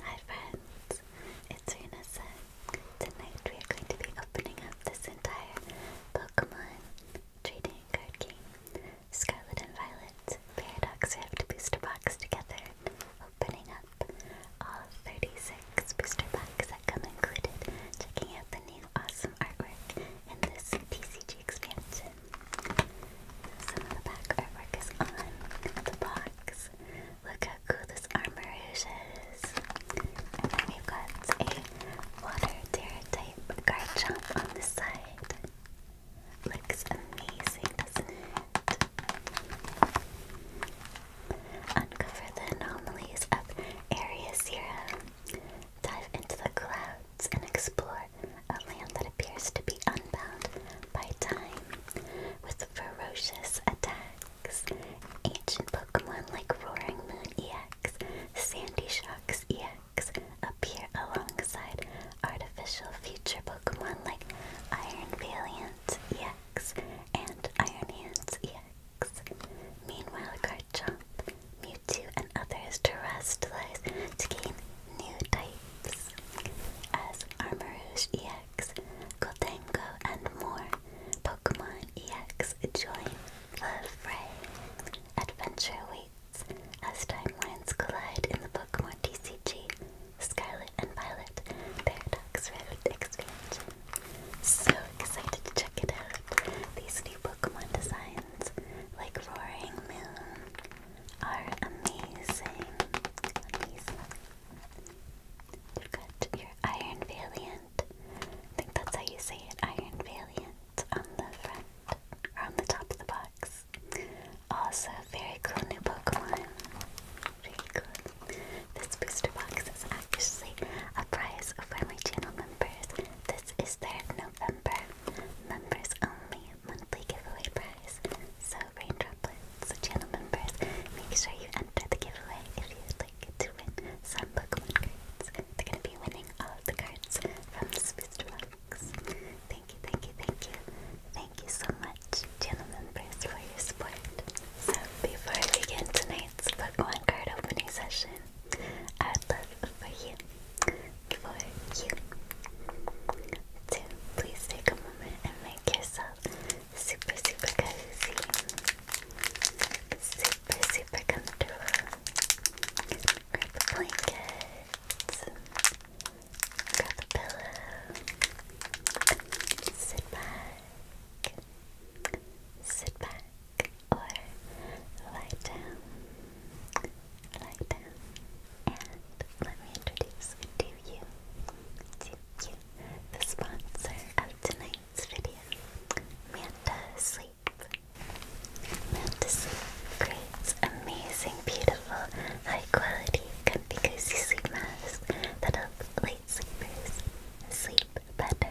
Hi friends, it's Renessa. Tonight we are going to be opening up this entire Pokemon trading card game. Scarlet and Violet Paradox we have Rift booster box together, opening up all 36 booster packs that come included, checking out the new awesome artwork in this TCG expansion. Some of the back artwork is on the box. Look how cool this armor is. And then we've got a water tear guard jump on the side. Looks amazing, doesn't it? Uncover the anomalies of Area Zero. Dive into the clouds and explore a land that appears to be unbound by time, with ferocious attacks. Ancient Pokemon like Roaring Moon EX, Sandy Shocks EX appear alongside artificial future Pokemon like Iron Valiant EX and Iron Hands EX. Meanwhile, Garchomp, Mewtwo, and others terrestrialize to gain new type as Armourouge EX, Goldengo, and more Pokemon EX join the fray. Adventure awaits as timelines collide in the Pokemon TCG Scarlet and Violet Paradox Rift expansion. So excited to check it out. These new Pokemon designs, like Roaring Moon, are amazing. Amazing. have got your Iron Valiant. I think that's how you say it, Iron Valiant, on the front, or on the top of the box. Also, very cool new Pokemon. Very cool. This booster box is actually a prize for my channel members. This is their November members only monthly giveaway prize. So, Rain channel members, make sure you enter the giveaway if you'd like to win some Pokemon cards. They're going to be winning all the cards from this booster Thank you, thank you, thank you. Thank you so much, channel members, for your support. So, before we begin tonight's Pokemon card opening session, I would love for you, for you, please take a moment and make yourself super, super cozy, super, super comfortable. Grab a blanket, grab a pillow, sit back, sit back, or lie down, lie down, and let me introduce you you, to you, the sponsor of tonight's video, Manta Sleep. Manta Sleep creates amazing, beautiful, high-quality, comfy, cozy sleep masks that help late sleepers sleep better.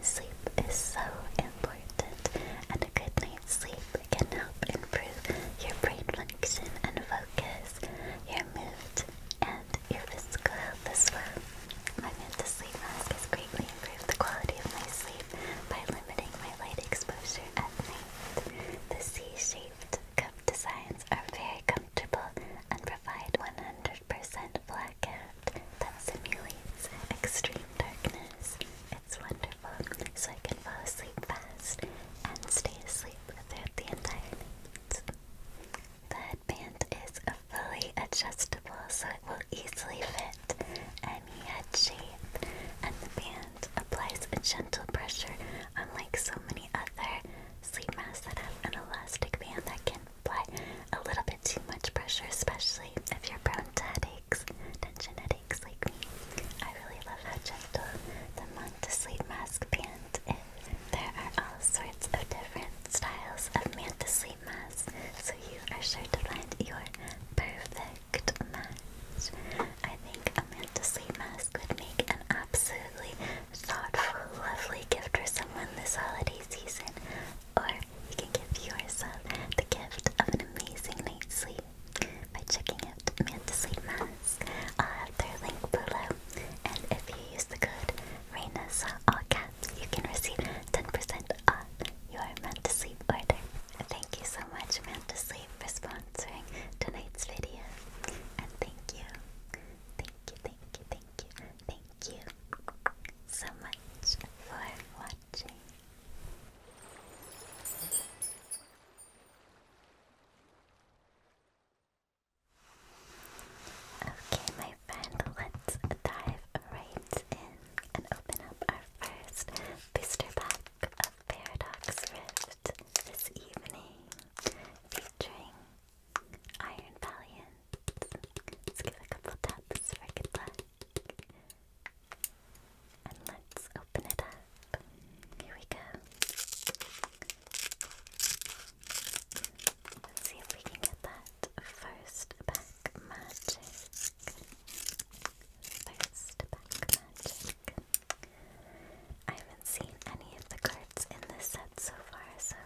Sleep is so important, and a good night's sleep can help improve your brain function and focus, your mood, and your physical health as well. My Manta Sleep Mask has greatly improved the quality of my sleep by limiting my light exposure at night. The C-shaped cup designs are very comfortable and provide 100% blackout that simulates extreme darkness. It's wonderful, so I can fall asleep fast and stay asleep the entire night. The headband is fully adjustable so it will easily fit any head shape, and the band applies a gentle pressure, unlike so many other sleep masks that have an elastic band that can apply a little bit too much pressure, especially if you're prone to headaches, tension headaches, I really love how gentle the sleep mask band is. There are all sorts of different styles of sleep masks, so you are sure to find your perfect mask. I think a sleep mask would make an absolutely thoughtful, lovely gift for someone this holiday season. Or you can give yourself the gift of an amazing night's sleep by checking out Mantislate Mask. I'll have uh, their link below. And if you use the code RAINASA, uh, all caps, you can receive 10% off your Mantisleep order. Thank you so much, Mantisleep, for sponsoring tonight's video. And thank you, thank you, thank you, thank you, thank you so much for watching. Okay, my friend, let's dive right in and open up our first booster pack of Paradox Rift this evening, featuring Iron Valiant. Let's give a couple taps for good luck. And let's open it up. Here we go. see if we can get that first pack magic. First pack magic. I haven't seen any of the cards in this set so far, so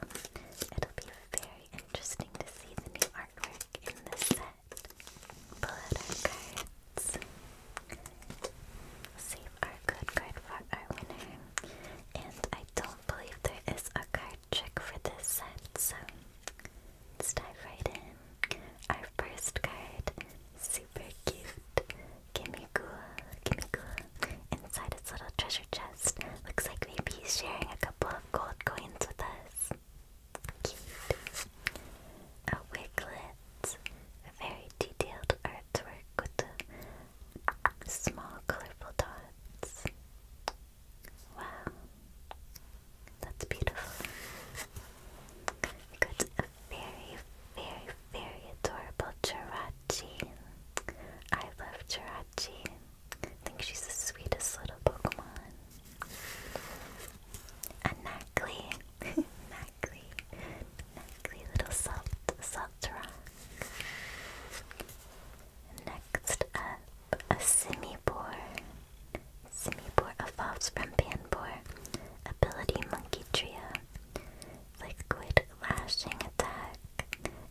it'll be very interesting to see the new artwork in this set. Pull out Save our good card for our winner. And I don't believe there is a card trick for this set, so let's dive right in. Our first card, super cute. gimme Kimigua. Inside its little treasure chest, looks like maybe he's sharing a couple of gold coins with us. Cute. A wiglet. A very detailed art cards work with small colorful dots. Wow, that's beautiful. We got a very, very, very adorable Jirachi. I love Jirachi. I think she's the sweetest little Pokemon. A Knackly. Knackly. Lovely little salt, salt rock. Next up, a Simibore. Simibore evolves from Panbore. Ability Monkey Trio. Liquid Lashing Attack.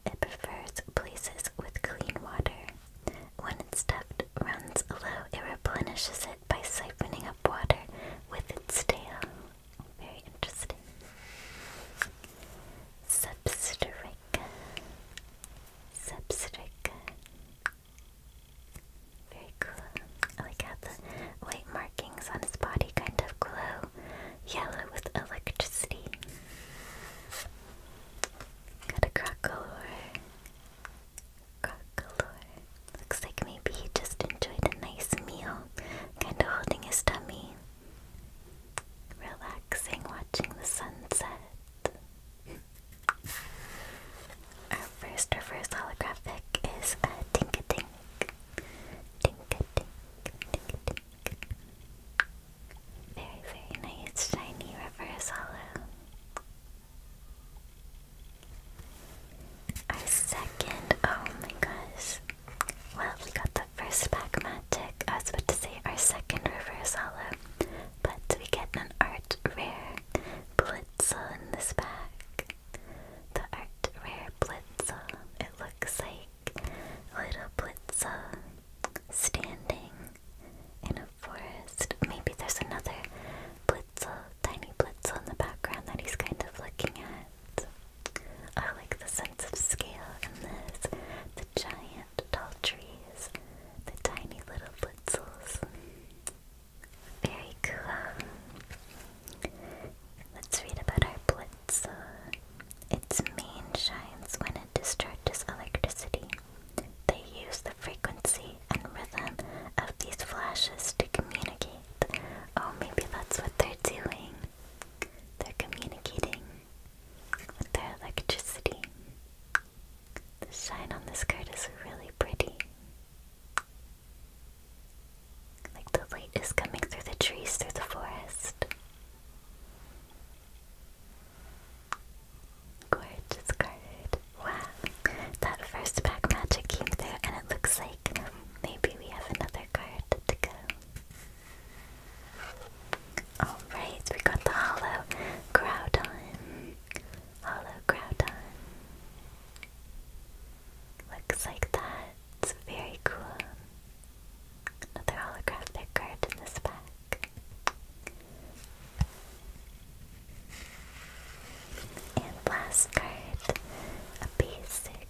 It prefers places with clean water. When its stuffed runs low, it replenishes it by siphoning up water with its tail. Very interesting. Substrica. Substrica. Very cool. I like how the white markings on his body kind of glow yellow with electricity. Got a crocolore. Crocolore. Looks like maybe he just enjoyed a nice meal, kind of holding his tummy, relaxing, watching the sunset. Our first reverse holographic is a Tinka Tink. Tinka Tinka Very, very nice, shiny reverse holo. Our second, oh my gosh, well, we got the first pack magic. I was about to say our second reverse hollow, but we get an art rare blitzel in this pack. The art rare Blitza. It looks like little Blitza standing in a forest. Maybe there's another blitzel, tiny Blitza in the background that he's kind of looking at. I like the sense of scale in this. The giant tall trees, the tiny little blitzels. Very cool. Let's read about our blitzel. Its mane shines when it discharges electricity. They use the frequency and rhythm of these flashes to communicate. Oh, maybe that's what they're doing. They're communicating with their electricity. The sign on this card is really pretty. Like the light is coming through the trees, through the forest. Gorgeous card. Wow. That first pack magic came through and it looks like Maybe we have another card to go. Alright, we got the hollow Groudon. Looks like that. It's very cool. Another holographic card in this pack. And last card, a basic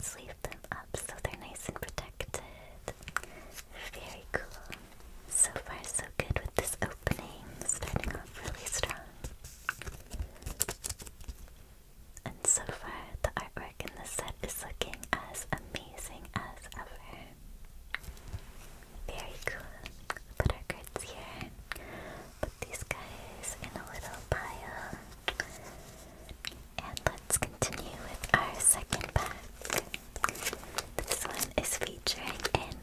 Sleep them up so they're nice and protected. Very cool. So far, so good with this opening. Starting off really strong. And so far, the artwork in this set is looking as amazing as ever. Very cool. Put our cards here. Put these guys in a little pile. And let's continue with our second pack. This one is featuring an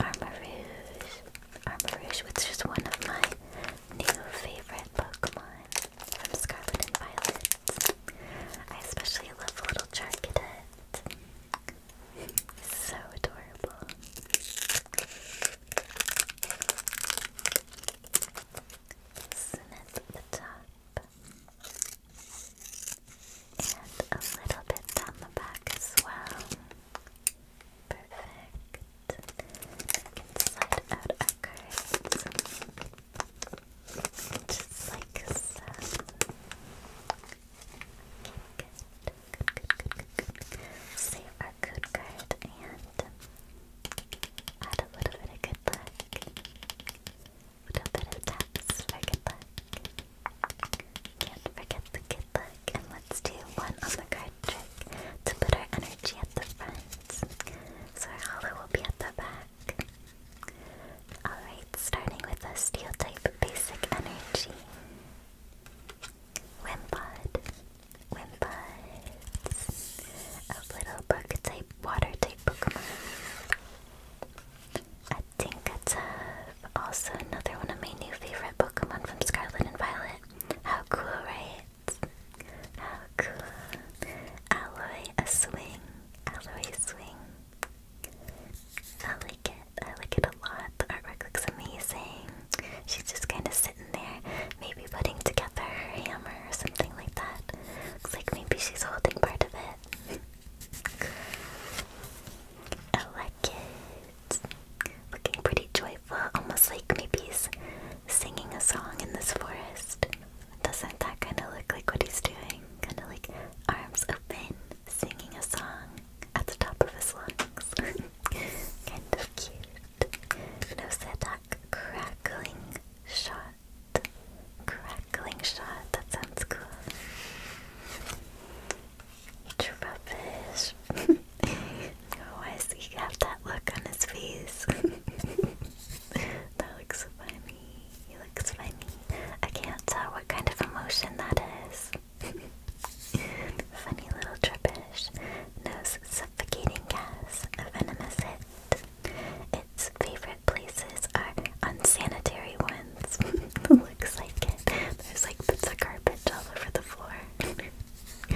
Armor Rouge. which is one of my new favorite Pokemon from Scarlet and Violet. I especially love little Charcadet. So adorable snip the top, and a little bit down the back as well. Perfect. Slide out our cards, just like so. Good, good, good, good, good. Save our code card and Add a little bit of good luck. A little bit of taps good luck. Can't forget the good luck. And let's do one on the card trick to put our energy at the front. So our hollow will be at the back. Alright, starting with a steel type basic energy. Wimpod. Wimbuds, a little bug type, water type Pokemon. A Tinkertub, uh, also another one of my new favorite Pokemon from Scarlet and Violet. How cool, right? How cool. Alloy, a swing. Alloy, swing. I like it. I like it a lot. The artwork looks amazing. She's just kind of sitting there, maybe putting together her hammer or something like that. Looks like maybe she's holding part of it. I like it. Looking pretty joyful, almost like maybe he's singing a song in this forest. Doesn't that kind of look like what he's doing? Kind of like arms open, singing a song at the top of his lungs. kind of cute. Nosedak crackling shot. Crackling shot, that sounds cool. Trubbish. Why does he have that look on his face? that looks funny. He looks funny. I can't tell what kind of emotion that is. funny little trubbish nose suffocating gas, a venomous hit. Its favorite places are unsanitary ones. Looks like it. There's like bits of carpet all over the floor. oh my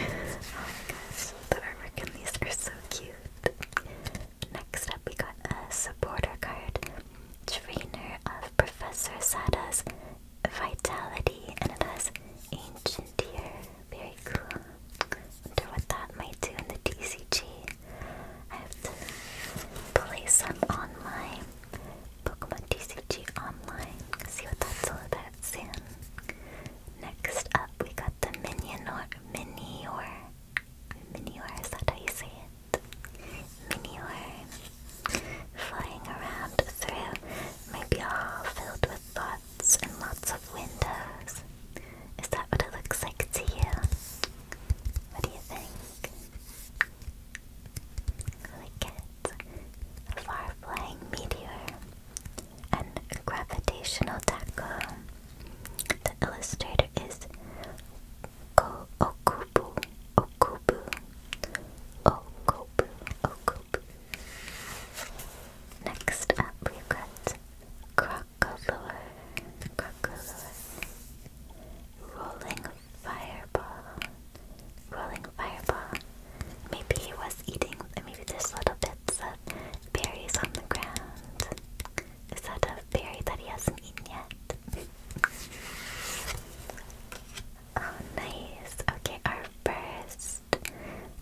gosh, the artwork in these are so cute. Next up, we got a supporter card. Trainer of Professor Sada's Vitality, and it has Ancient Deer. Very cool. Wonder what that might do in the DCG. I have to play some online. Pokemon DCG online. See what that's all about soon. Next up, we got the Minior. Minior. Minior, is that how you say it? Minior. Flying around through my ball filled with thoughts and lots of windows. Is that what it looks like to you? What do you think? I like far flying meteor and gravitational tackle. The illustrator is Okubu Okubu Okubu Okubu Next up, we've got Crocolore. Crocolore. Rolling Fireball. Rolling Fireball. Maybe he was eating, maybe there's little bits of berries on the ground. A that of berries that he hasn't eaten yet? oh, nice. Okay, our first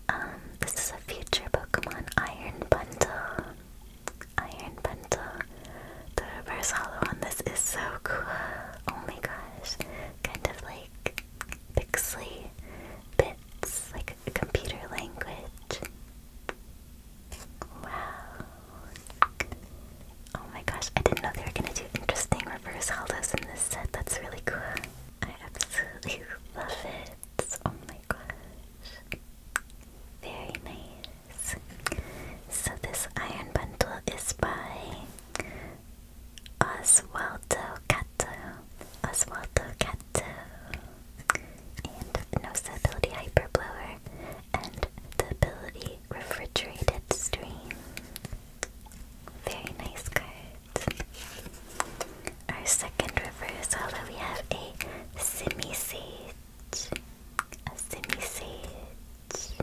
um, this is a future Pokemon Iron Bundle. Iron Bundle. The reverse hollow on this is so cool. Oh my gosh. Kind of like pixely bits, like a computer language. Wow. Oh my gosh, I didn't know they were gonna do interesting reverse hollows in this set. That's really cool. I absolutely love it. Oh my gosh. Very nice. So this iron bundle is by Oswaldo Cato. Oswaldo Cato. And Noseability Hyperblower and the ability Refrigerated Stream. Very nice card. Our second reversal, we have a semi Sage. A semi Sage.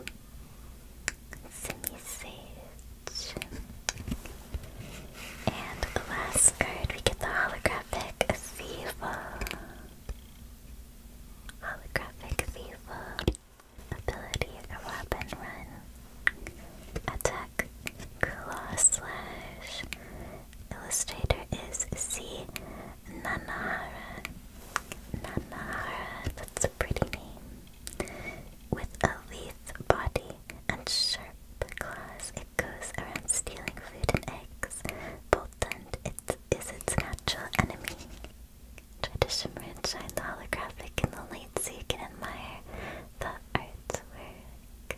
Simi Sage. And the last card, we get the holographic Thieva. Holographic Thieva. Ability, a weapon run. Attack. Claw slash. Illustrator is C. Nanahara. Nanahara, that's a pretty name. With a lithe body and sharp claws, it goes around stealing food and eggs. But then it is its natural enemy. Try to shimmer and shine the holographic in the light so you can admire the artwork.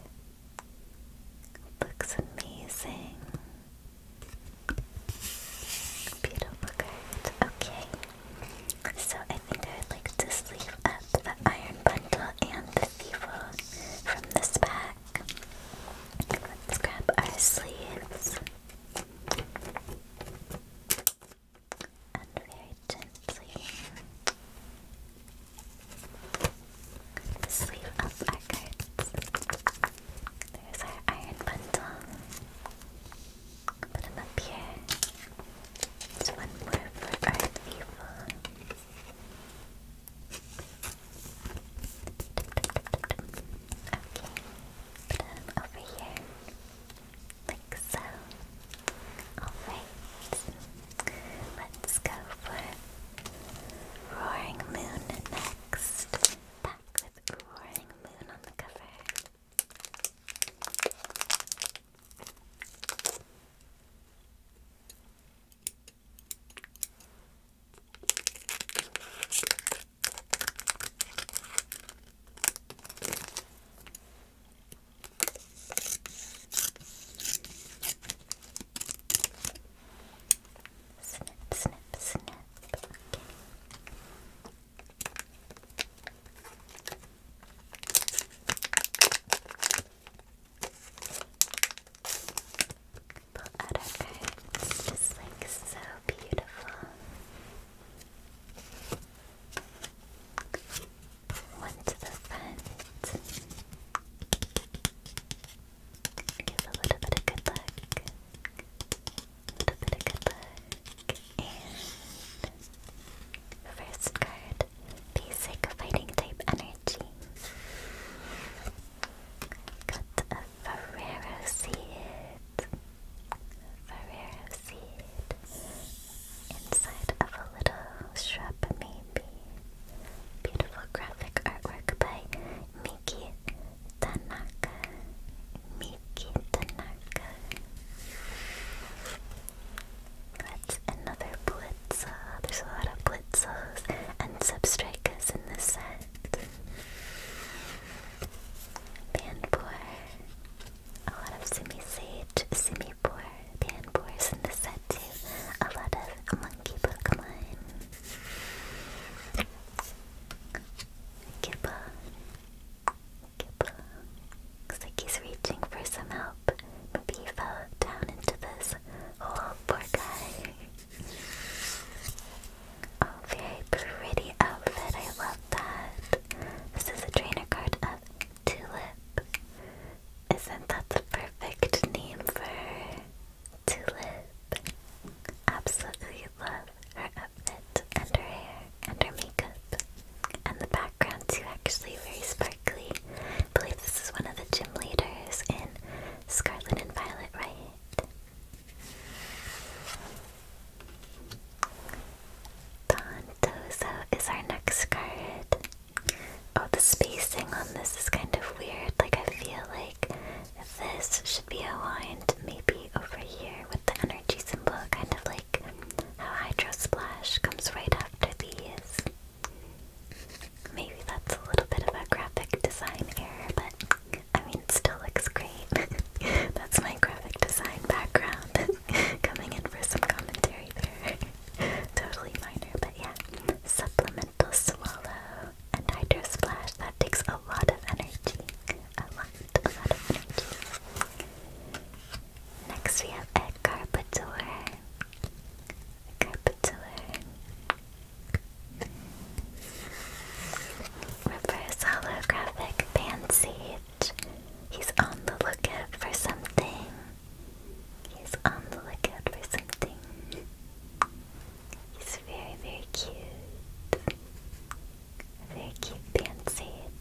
Looks amazing. Beautiful Okay. So I think I would like to sleeve up the Iron Bundle and the Thievul from this pack. Let's grab our sleeves. And very gently the sleeve There's our iron bundle. Put him up here. There's one more for Earth Evil. Okay, put him over here. Like so. Alright. Let's go Roaring Moon next. Back with Roaring Moon on the cover. Snip, snip, snip. Okay. Pull out our like so beautiful. One to the front. Give a little bit of good luck. A little bit of good luck. And first card, basic fighting type energy. Got a Ferrero seed. Ferrero seed. Inside of a little shrub Beautiful graphic artwork by Miki Tanaka. Miki Tanaka. That's another Blitza. There's a lot of Blitzos and Substrikas in the set. Bandboy. A lot of Simi Sage, Simi Panpour. Panpour's in the set too. A lot of monkey Pokemon. Kippa. Kippa. Looks like he's reaching for some help. Maybe fell down into this hole, poor guy. Oh, pretty outfit. I love that. This is a trainer card of Tulip. Isn't that the perfect name for her? Tulip. Absolutely love her outfit and her hair and her makeup. And the background too, actually very sparkly. I believe this is one of the gym leaders in Scarlet and Violet right? Don is our next card. Oh, the spacing on this is kind of weird. Like, I feel like this should be aligned maybe over here with the energy symbol, kind of like how Hydro Splash comes right after these. Maybe that's a little bit of a graphic design error, but I mean, it still looks great. that's my graphic design background coming in for some commentary there totally minor, but yeah. Supplemental swallow and hydro splash. That takes a lot of energy. A lot, a lot of energy. Next we have a Carpador. A Carpador. Reverse holographic Pansage. He's on the lookout for something. He's on the lookout for something. He's very, very cute. Very cute fancied.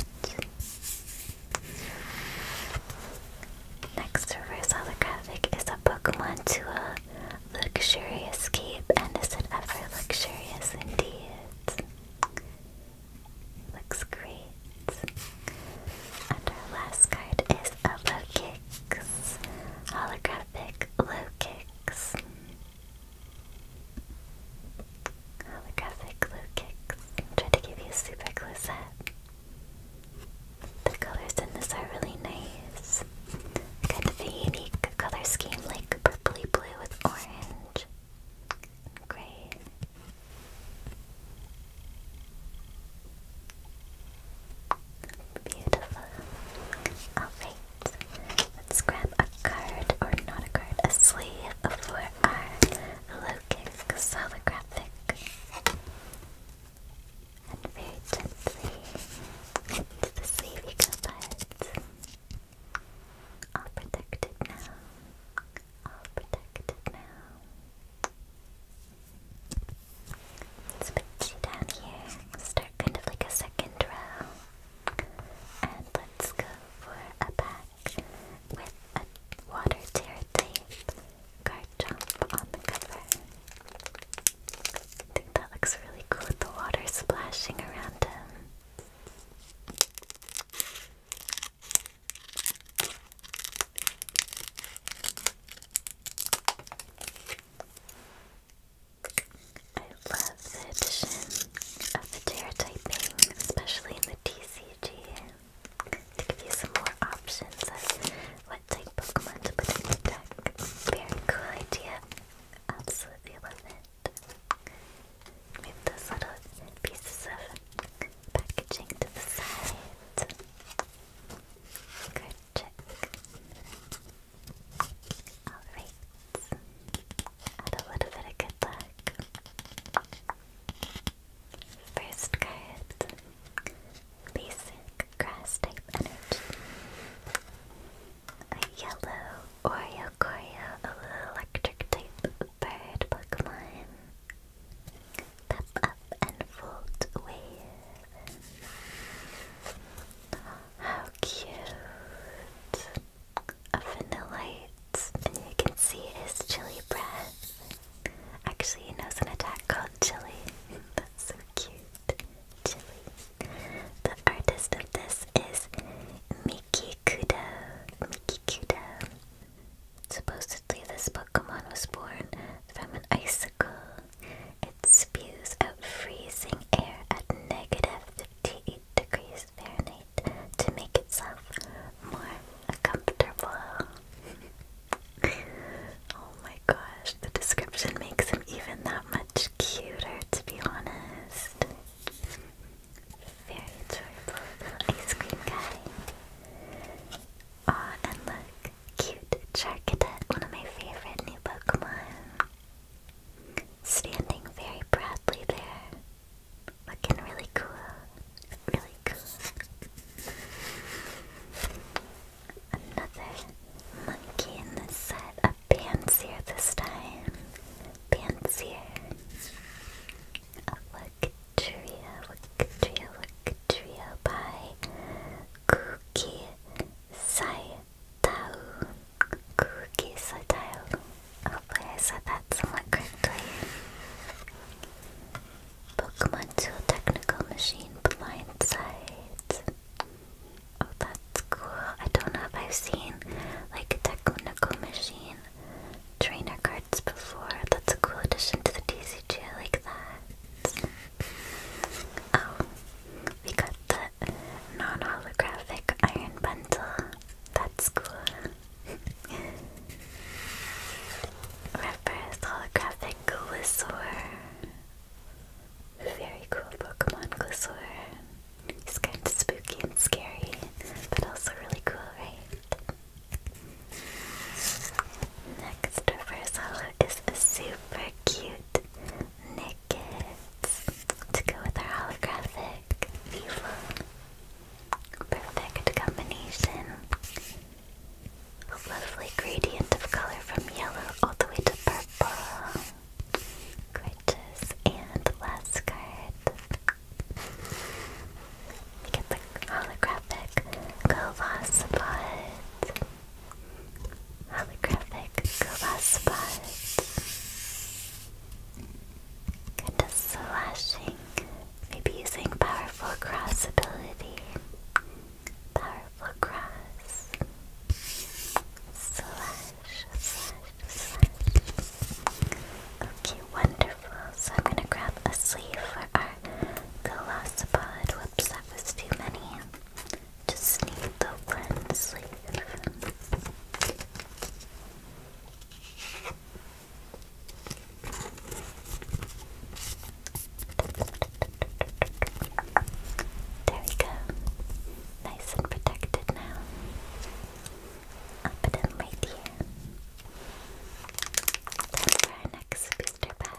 Next reverse holographic is a Pokemon to a luxurious cape, and is it ever luxurious indeed? Looks great. And our last card is a Loki kicks. Holographic low kicks. Holographic low kicks. Try to give you a super close up. The colors in this are really nice. Kind unique color scheme, like purpley blue with orange gray. Beautiful. Alright, let's grab a card, or not a card, a sleeve for our low kick holographic. And very gently into the sleeve you go, bud. All protected now. All protected now. Let's put you down here. start kind of like a second row. And let's go for a pack with a water tear tape card jump on the cover. I think that looks really cool with the water splashing around him. I love the addition of the tear typing, especially in the TCG, to give you some more options of what type Pokemon to put in your deck. Very cool idea. Absolutely love it. Move those little pieces of packaging to Good check. Alright. Add a little bit of good luck. First card. Basic grass type energy. A yellow Oreo a little electric type bird Pokemon. Pop up and fold away. How cute! A vanillite. And you can see his chilly breath. Actually, he knows an attack called chilly. That's so cute. Chili. The artist of this is Miki Kudo. Miki Kudo. Supposedly, this Pokemon was born from an icicle. It spews out freezing air at negative 58 degrees Fahrenheit to make itself more comfortable. oh my gosh, the description makes him even that much cuter, to be honest. Very adorable ice cream guy. Aw, and look, cute Charcadet, one of my favorite new Pokemon. Standing very proudly there. Looking really cool. Really cool. Another monkey in the set. A Pansier this time. Pansier. A Luck Trio. Look Trio. Look Trio by Saitao. Kuki Saitao. Hopefully I said that somewhat correctly. Pokemon Tool Technical Machine Blindside. Oh, that's cool. I don't know if I've seen like a technical machine trainer cards before. That's a cool addition to the TCG. like that. Oh, we got the non-holographic iron bundle. That's cool. Reverse holographic Glisor. Very cool Pokemon Glisor. It's kind of spooky and scary, but also really cool, right? Next reverse holo is a soup super cute knickets to go with our holographic. Beautiful. Perfect combination. A lovely gradient of color from yellow all the way to purple. Gorgeous. And last card. We get the holographic Colossopod holographic glass Kind of slashing, maybe using powerful cross ability. Powerful cross. Slash, slash, slash. Okay, wonderful. So I'm gonna grab a sleeve for our Colossapod. Whoops, that was too many. Just need the one sleeve. There we go. Nice and protected now. I'll put him right here. next booster pack.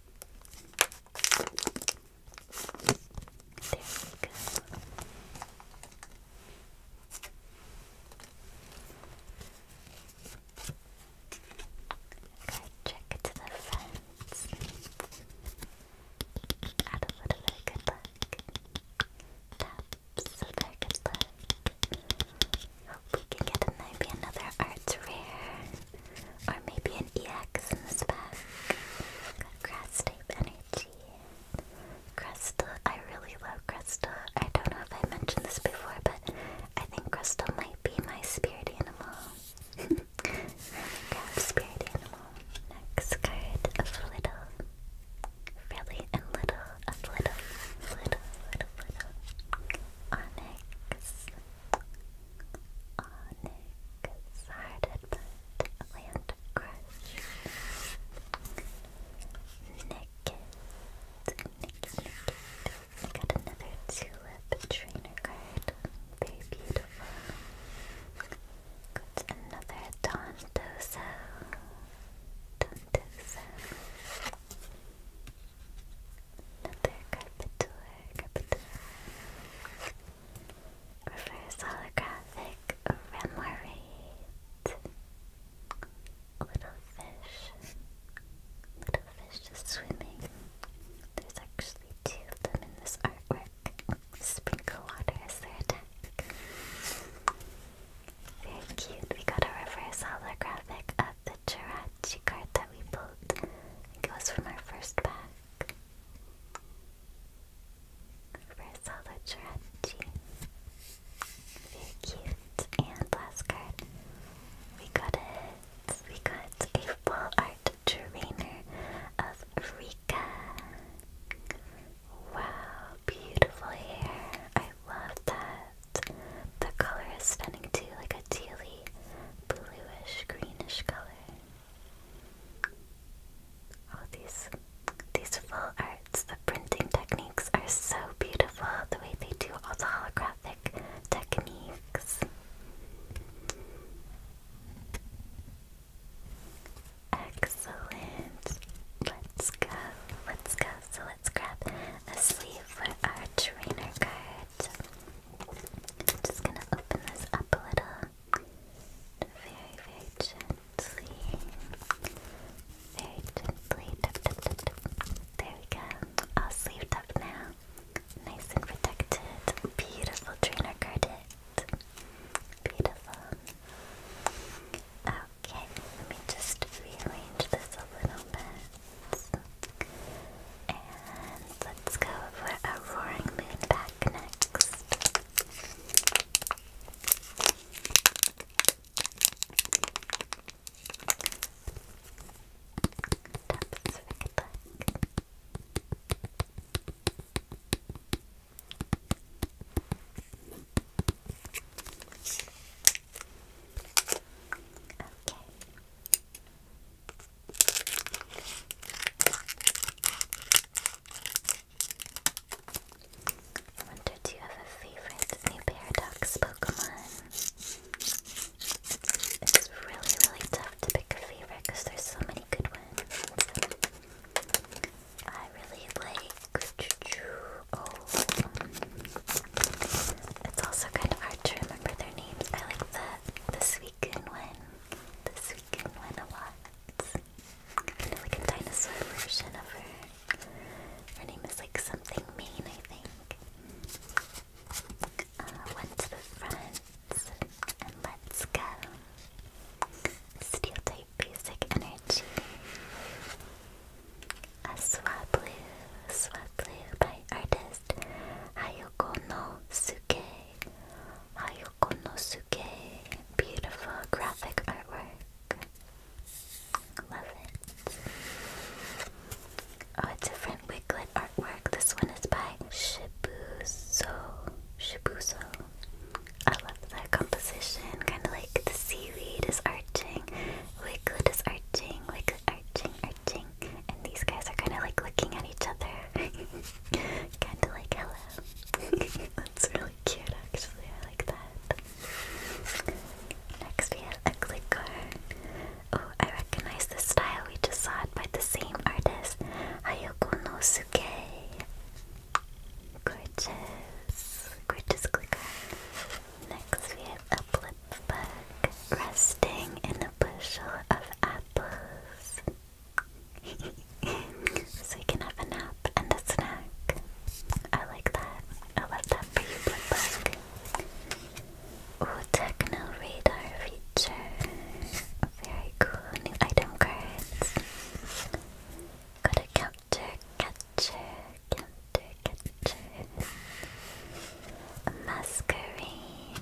There we Okay, check the fence. Add a little bit of good luck. Taps, a very good Hope we can get maybe another Arts Rare. Or maybe an EX in this pack. Got Energy. Crystal. I really love Crystal. I don't know if I mentioned this before, but I think Crystal might be my spirit animal. spirit animal. Next card of Little. Really and Little of Little. Little, Little, Little. Onyx. Onyx, Hearted Land Crush, Naked, Naked, got another Tulip Trainer card, very beautiful. Got another Dondozo, Dondozo. Another Carpenter, Carpenter. Reverse holographic Remoraid. Little fish. Little fish just swimming. There's actually two of them in this artwork. Sprinkle water is their attack. Very cute. We got a reverse holographic of the giraffe scratchy card that we built. it was from our first pack. Reverse Holo Jirachi. Very cute. And last card. We got it. We got a art trainer of Rika. Wow, beautiful hair. I love that. The color is stunning too, like a tealy bluish greenish color. Oh, these these full arts, the printing techniques are so beautiful. The way they do all the holographic techniques. Excellent. Let's go. Let's go. So let's grab a sleeve for our trainer card. I'm just gonna open this up a little. Very, very gently. Very gently. There we go. All sleeved up now. Nice and protected. Beautiful trainer carded. Beautiful. Okay, let me just rearrange this a little bit. And let's go for a roaring moon back next. Okay. I do you have a favorite new Paradox Pokemon? It's really, really tough to pick a favorite because there's so many good ones. I really like. It's also kind of hard to remember their names. I like the the Suicune one, the Suicune one a lot. Kind like dinosaur version of her. Her name is like something mean, I think. Uh, to the front, and let's go. Steel type basic energy. A Swablu, Swablu by artist best. no Suke. Hayoko no Suke. Beautiful graphic artwork. Love it. Oh, a different wiglet artwork. This one is by Shibuso. Shibuso. I love the composition. Kind of like the seaweed is arching, wiglet is arching, wiglet arching, arching. And these guys are kind of like looking at each other. kind of like hello. That's really cute, actually. I like that. Next, we have a clicker. Oh, I recognize the style. We just saw it by the same artist, Hayoko Nosuke. Gorgeous, gorgeous clicker. Next, we have a blip bug resting in the bushel of apples. so you can have a nap and a snack. I like that. I love that for you, Blimpbug. Ooh, techno radar feature. Very cool. New item cards. Got a counter, catcher, counter, catcher. A Masquerade.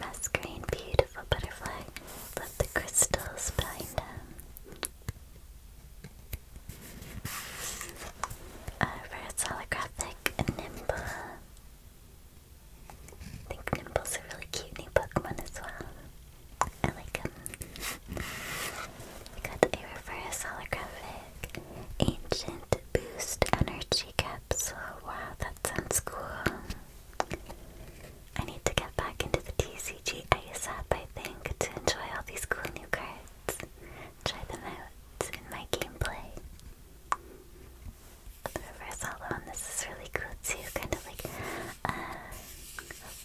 Masquerade, beautiful butterfly. Love the crystals behind them. Uh, reverse holographic Nimble. I think Nimble's a really cute new Pokemon as well. I like him. We got a reverse holographic Ancient Boost Energy Guy. So wow, that sounds cool. I need to get back into the TCG Ice app, I think, to enjoy all these cool new cards. Try them out in my gameplay. The reverse hollow on this is really cool too, kind of like a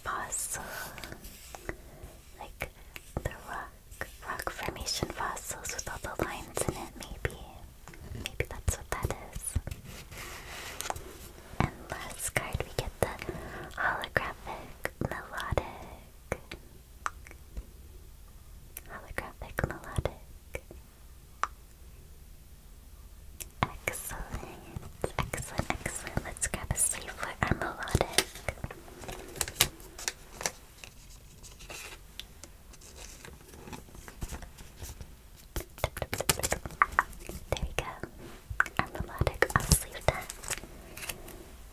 fossil. Like the rock, rock formation fossils with all the lines in it, maybe. Maybe that's what that is. And last card, we get the holographic melodic. Holographic melodic. Excellent, excellent, excellent. Let's grab a sleeve for our melodic. There we go. Our melodic Osluta.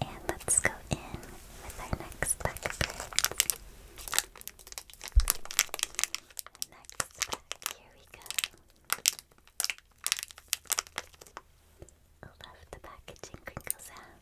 And let's go in with our next pack Next pack, here we go. I love the packaging crinkle sound.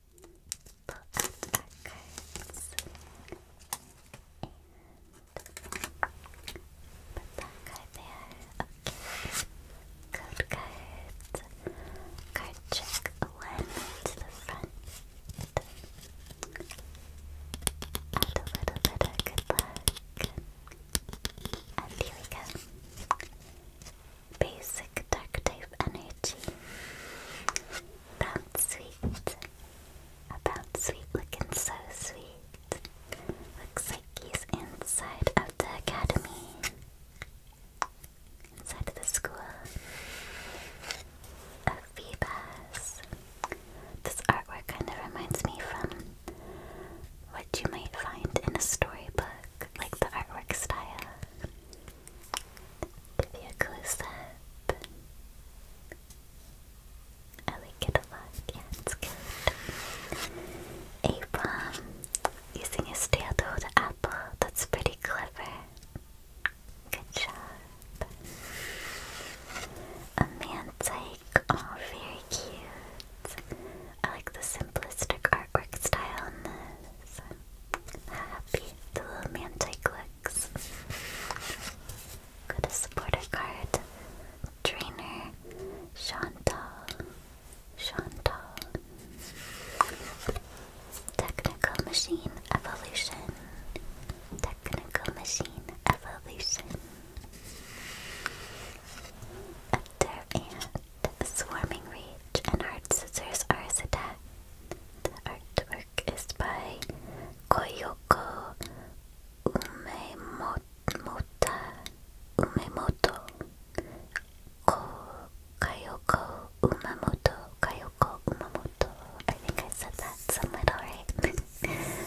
pull out our cards and put that card there. Okay. Code cards. Card check one to the front. a little bit of good luck. And here we go. Basic dark type energy. About sweet. About sweet looking so sweet. Looks like he's inside of the academy. Inside of the school of Phoebus. This artwork kind of reminds me from what you might find in a storybook, like the artwork style. Give you a close up. I like it a lot. Yeah, it's good. Abram using his tail to apple. That's pretty clever. Good job. A man's Oh, very cute. I like the simplistic artwork style on this happy. The little Manticlix. Got a supporter card. Trainer. Chantal. Chantal. Technical Machine Evolution. Technical Machine Evolution. After Swarming Rage and Hard Scissors Ars Attack. Artwork is by Koyoko Umemota, Umemoto. Ko Kayoko Umamoto, Kayoko I think I said that somewhat alright.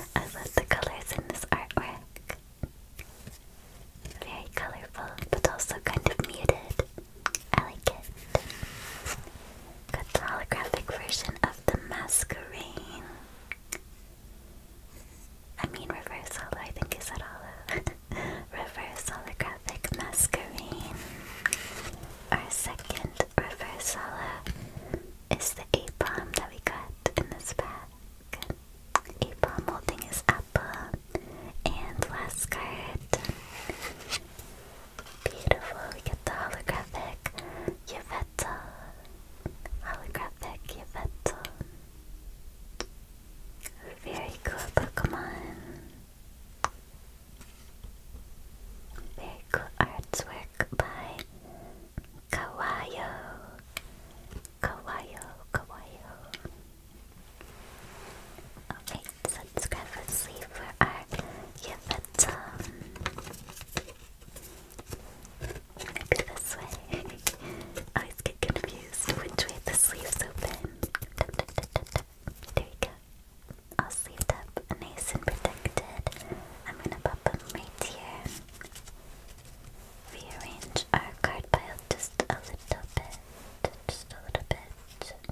I love the colors in this artwork. Very colorful, but also kind of muted. I like it. Got the holographic version of the masquerade. I mean reverse holo, I think is said holo. reverse holographic masquerade. Our second reverse holo is the A-bomb that we got in this pack. A-bomb holding his apple. And last card Beautiful, we get the holographic Yvette. Holographic Yvette. Very cool Pokemon. Very cool artwork by Kawayo. Kawayo, Kawayo. Alright, so let's grab a sleeve for our Yvette. Um, maybe this way. I get confused which way the sleeves open. There you go. All sleeved up, nice and protected. I'm gonna pop them right here. Rearrange our card pile just a little bit. Just a little bit.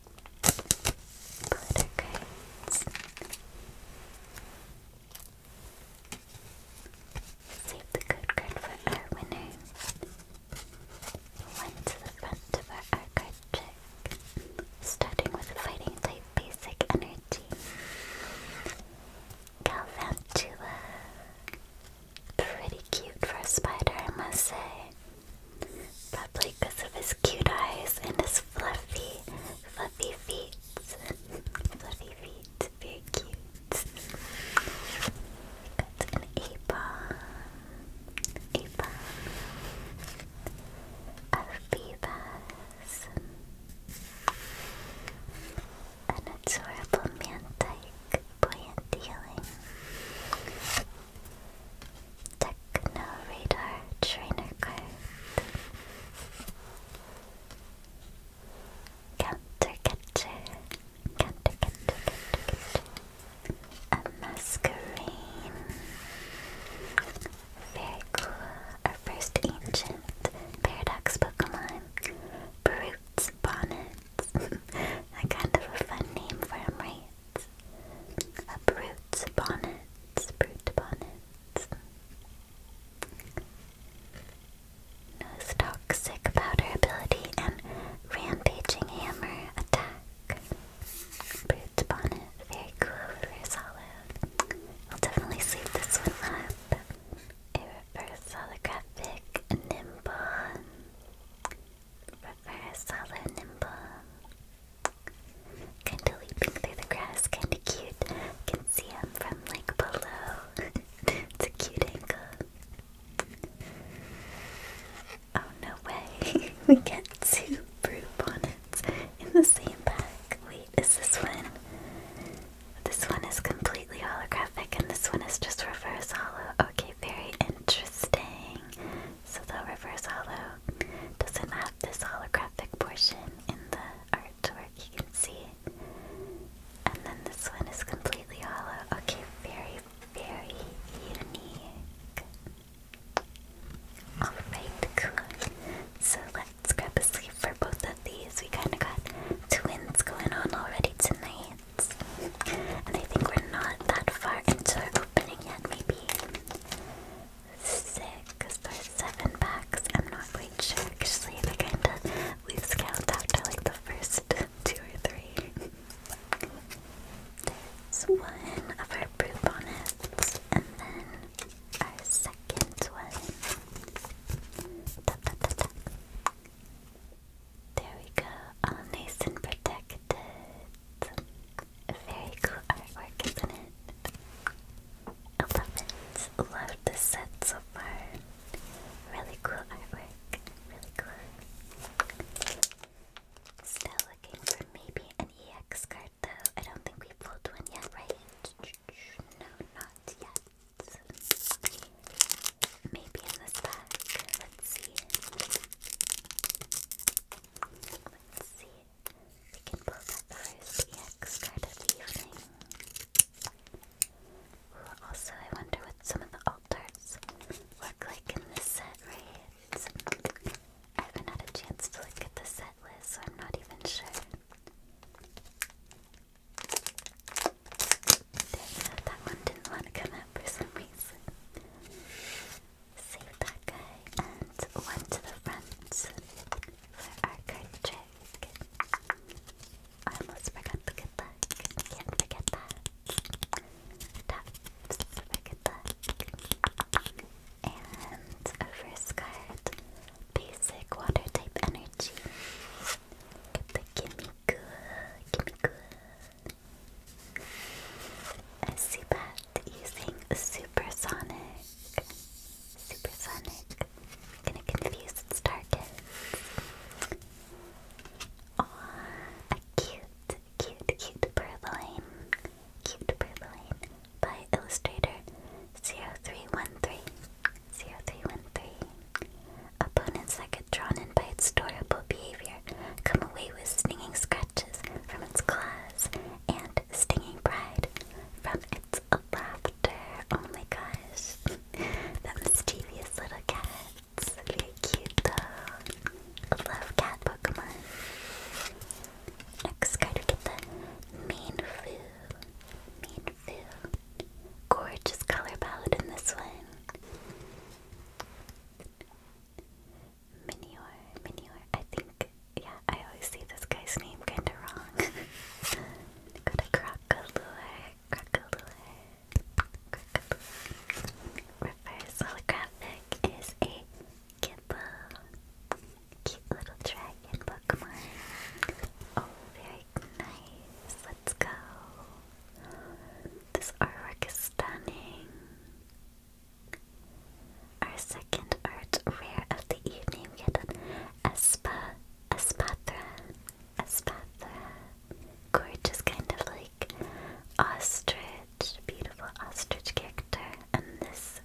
glitter cards. card for our winner. One to the front of our card trick, starting with fighting type basic energy. Galvantua. Pretty cute for a spider, I must say. Probably because of his cute eyes and his fluffy, fluffy feet. fluffy feet, very cute. Got an A-bomb, A-bomb, an adorable Mantike, buoyant healing. Techno Radar Trainer card. Counter catcher. A masquerine. Very cool. Our first ancient paradox Pokemon. Brutes Bonnet. a kind of a fun name for him, right? A brute bonnet, brute bonnet toxic powder ability and rampaging hammer attack. Brute's bonnet, very cool, very solid. I'll definitely sleep this one up. reverse holographic nimble. Reverse hollow nimble. Kinda leaping through the grass, kinda cute. Can see him from like below. it's a cute angle. Oh no way! we get two brew bonnets in the same pack. Wait, is this one? This one is completely holographic, and this one is just reverse hollow. Okay, very interesting. So the reverse hollow doesn't have this holographic portion pattern in the artwork, you can see. And then this one is completely hollow. Okay, very, very unique. Alright, cool. So let's grab a sleeve for both of these. We kind of got twins going on already tonight. And I think we're not that far into our opening yet, maybe six or seven packs. I'm not quite sure actually. we kinda lose count after like the first two or three. There's one of our brew bonnets, and then our second one. There we go, all nice and protected very cool artwork, isn't it? I love it. Love the set so far. Really cool artwork. Really cool. Still looking for maybe an EX card though. I don't think we pulled one yet, right? No, not yet. Maybe in this pack. Let's see. Let's see we can pull that first EX card of the evening. also, I wonder what some of the altars look like in this set, right? I haven't had a chance to look at the set list, so I'm not even sure. that one didn't want to come out for some reason. Save that guy and one to the front our card trick. I almost forgot, look at that. can't forget that. Tops, look that. And our first card, basic water type energy. Get the gimme good, gimme good. A Seabat, at using supersonic. Supersonic. i gonna confuse its targets. Aww, a cute, cute, cute purloin. Cute purloin by Illustrator 0313. Opponents that get drawn in by its adorable behavior come away with stinging scratches from its claws and stinging pride from its laughter. Oh my gosh, that mischievous little cat's very cute though. I love cat Pokemon. Next card, we get the Mainfu. Mainfu. Gorgeous color palette in this one. Minior, Minior. I think yeah, I always see this guy's name kinda wrong. Go to Crocolure, Crocolure, Reverse holographic is a Cute little dragon Pokemon. Oh, very nice. Let's go. This artwork is stunning. Our second art rare of the evening, we had an Espa, Espathra, Espathra. Gorgeous, kind of like ostrich, beautiful ostrich character. And this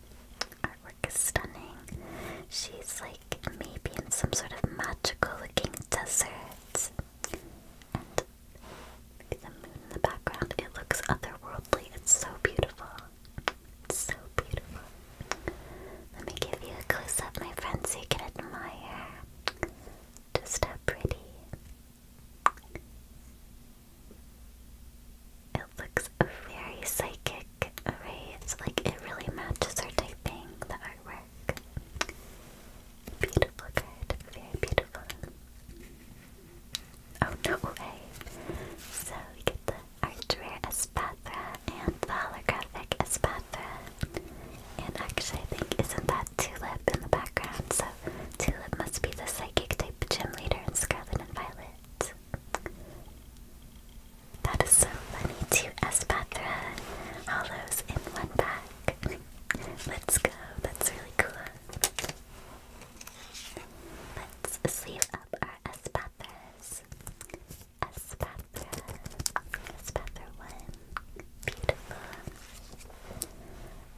artwork is stunning. She's like maybe in some sort of magical looking desert. And the moon in the background, it looks otherworldly. It's so beautiful. It's so beautiful. Let me give you a close up, my friend, so you can admire just how pretty it looks. Very psychic, right? It's like it really matches her typing, the artwork. Beautiful card, very beautiful. Oh no way! So get the Archer as and holographic as And actually, I think isn't that Tulip in the background? So Tulip must be the psychic type gym leader in Scarlet and Violet. That is so funny. Two Espathra hollows in one pack. Let's go. That's really cool. Let's sleeve up our are Espethras. Espethra. Beautiful.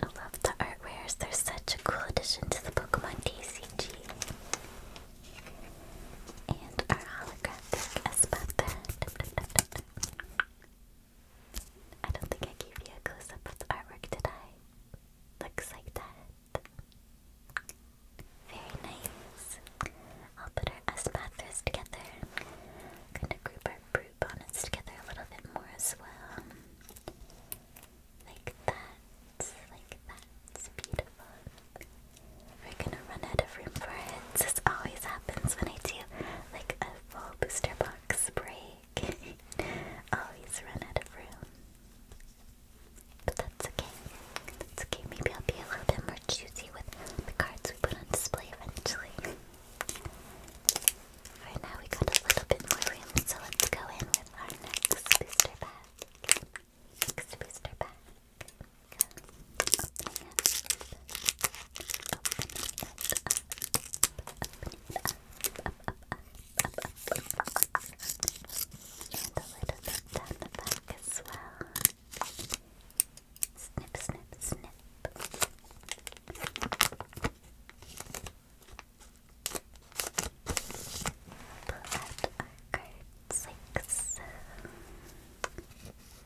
I love the artwares. They're such a cool addition to the Pokemon TCG. And our holographic Espethra. I don't think I gave you a close up of the artwork, did I? Looks like that. Very nice. I'll put our S pathers together. Gonna group our brute bonnets together a little bit more as well. Like that. Like that. beautiful. We're gonna run out of room for it. This always happens when I do like a full booster box break. always run out of room. But that's okay. That's okay. Maybe I'll be a little bit more choosy with the cards we put on display eventually. For now, we got a little bit more room, so let's go in with our next booster pack. Next booster pack. And a little bit down the back as well. Snip, snip, snip. Pull out our cards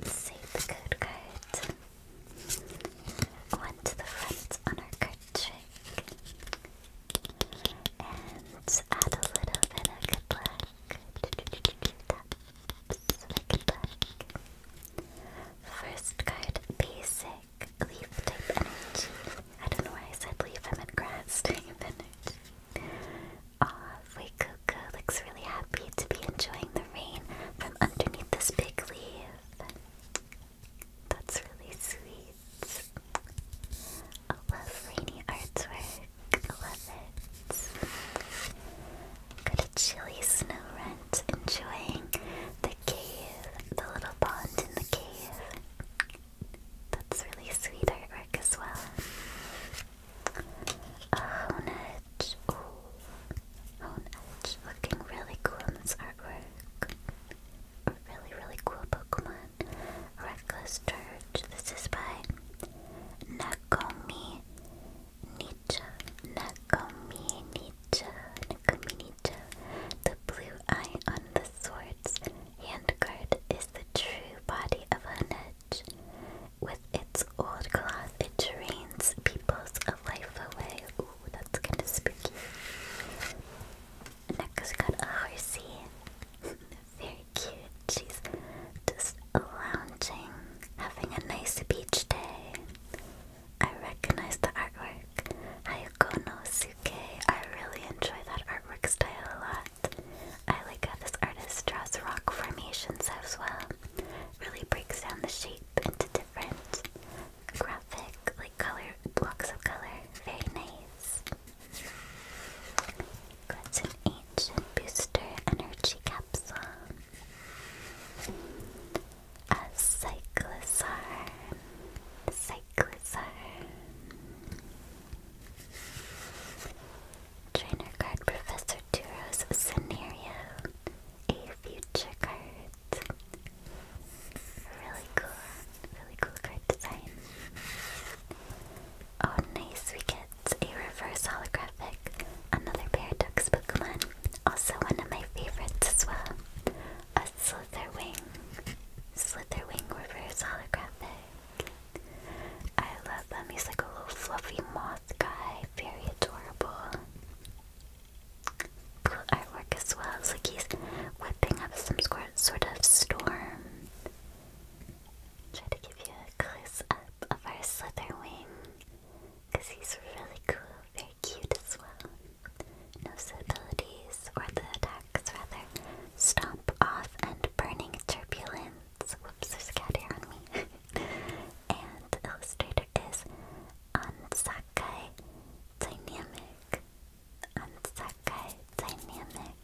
Save the code card. One to the front on our card and add a little bit of good luck. Taps good luck. First card, basic leaf type energy. I don't know why I said leaf, I grass type energy. Aw, Fuecoco looks really happy to be enjoying the rain from underneath this big leaf. That's really sweet. I love rainy artwork. I love it. Got a chilly snow enjoying the cave, the little pond in the cave. That's really sweet artwork as well. A hone edge. Looking really cool in this artwork. A really, really cool Pokemon. Reckless Church. This is by Nakomi Nietzsche. Nakomi Nietzsche. Nakomi Nietzsche. The blue eye on the sword's hand guard is the true body of Hanedge. With its old cloth, it drains peoples life away. Ooh, that's kind of spooky. Next, we got a horsey. very cute. She's just lounging, having a nice beach day. I recognize the artwork. Hayako I really enjoy that artwork style a lot. I like how this artist draws rock formations as well. Really breaks down the shape into different graphic, like color blocks of color. Very nice. That's an ancient booster energy capsule. A cyclosar. Cyclosar. Trainer card Professor Duro's scenario. A future card. Really cool. Really cool card design. Oh nice, we get it's a reverse holographic, another Paradox Pokemon, also one of my favorites as well. A Slitherwing. Slitherwing reverse holographic. I love him. He's like a little fluffy moth guy. Very adorable. Cool artwork as well. It's like he's whipping up some sort of storm. Try to give you a close up of our Slitherwing. Because he's really cool, very cute as well. No's abilities, or the attacks rather, stomp off and burning turbulence. Whoops, there's a cat hair on me. and the illustrator is Ansakai Dynamic. Ansakai Dynamic.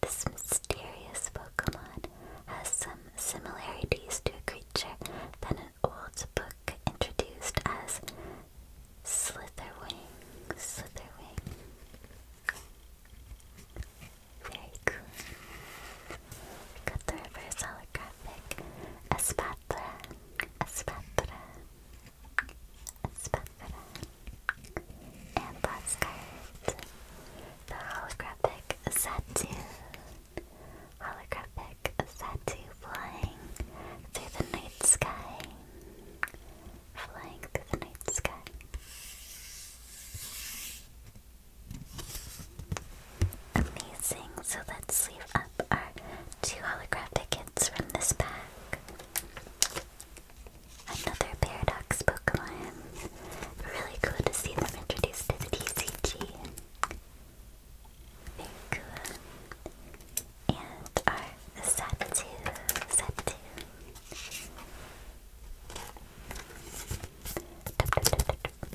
This mysterious Pokemon has some similarities to a creature that an old book introduced as Slitherwing. Slitherwing. Very cool. We the reverse holographic. Espatra. Espatra. Espatra. And the holographic Saturn. Holographic Saturn flying through the night sky. Flying through the night sky. Amazing, so let's leave up our two holographic hits from this bag. Another Paradox Pokemon. Really cool to see them introduced to the TCG. Very cool. And our Zaptu. Zaptu.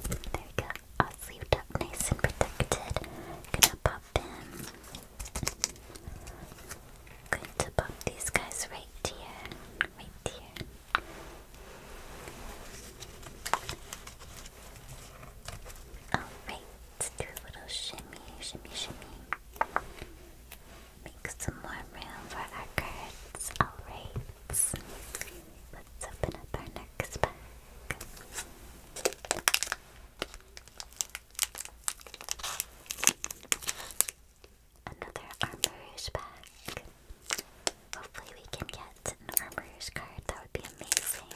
There we go. All sleeved up nice and protected. Gonna pop in. Going to pop these guys right here right here. Alright, do a little shimmy, shimmy, shimmy. Make some more room for our cards. Alright, let's open up our next pack. Another Armor Rouge pack. Hopefully we can get an Armor card. That would be amazing.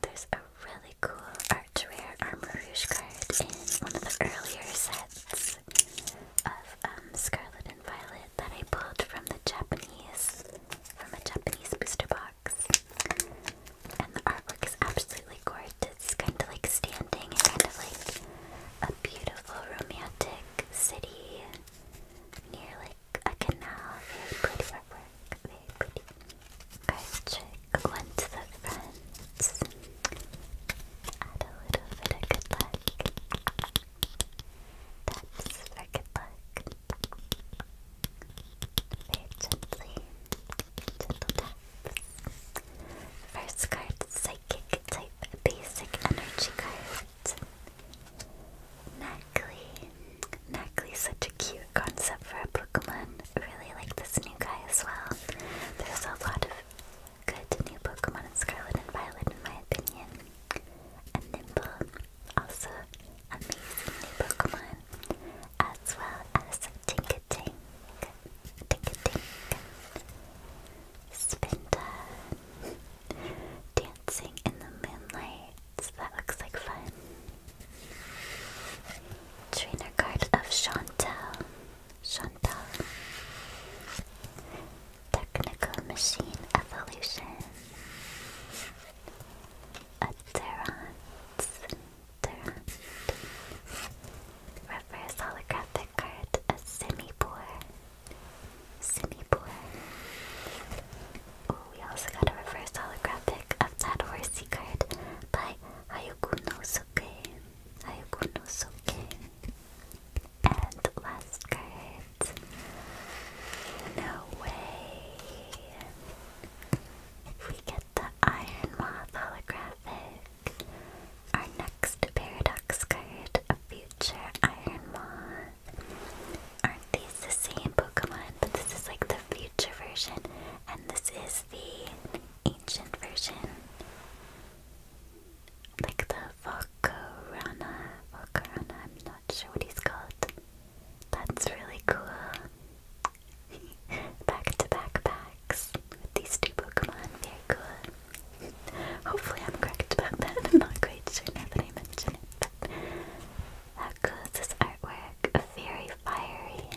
There's a really cool Arch Rare Armor Rouge card in one of the earlier sets of um, Scarlet and Violet that I pulled from the Japanese, from a Japanese booster box. And the artwork is absolutely gorgeous. It's kind of like standing and kind of like a beautiful romantic city near like a canal. Very pretty artwork. Very pretty. Card trick. One to the front. Add a little bit of good luck. That's for good luck. Very First card, Psychic type Basic Energy card. Nackley. Nackley's such a cute concept for a Pokemon. Really like this new guy as well. There's a lot of good new Pokemon in Scarlet and Violet in my opinion. And Nimble, also amazing new Pokemon. As well as Tinka Tink, Tinka Tink, Spin Time, Dancing in the Moonlight, that looks like fun. Trainer card of Chantel, Chantel, Technical Machine Evolution, Aderant, Durant. Reverse holographic card, a Simipour. Simipour. Oh, we also got a reverse holographic of that horsey card by Hayukunosuke. Hayukunosuke. And last card. No way. We get the Iron Moth holographic. Our next paradox card, a future Iron Moth. Aren't these the same Pokemon? But this is like the future version, and this is the ancient version. Like the Volcarona. Volcarona, I'm not sure what he's called. That's really cool. back to backpacks these two Pokemon. Very cool. Hopefully, I'm correct about that. I'm not quite sure now I mention it. But how this artwork? Very fiery.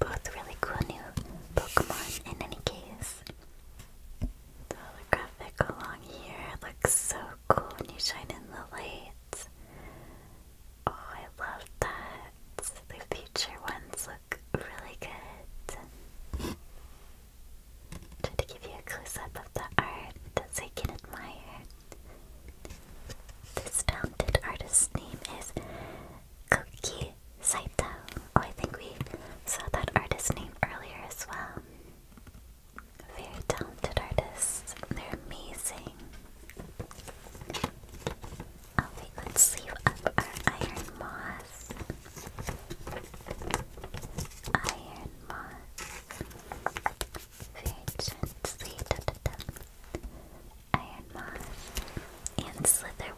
Both really cool new Pokemon. In any case, the holographic along here looks so cool when you shine in the light. Oh, I love that. The future ones look really good. Try to give you a close up of the art so you can admire. This founded artist's name is Koki Saito. Oh, I think we saw that artist's name earlier as well. Very talented artists. They're amazing. Oh wait, let's sleeve up our iron moss. Iron moss. Very gently. Da, da, da. Iron moth and slither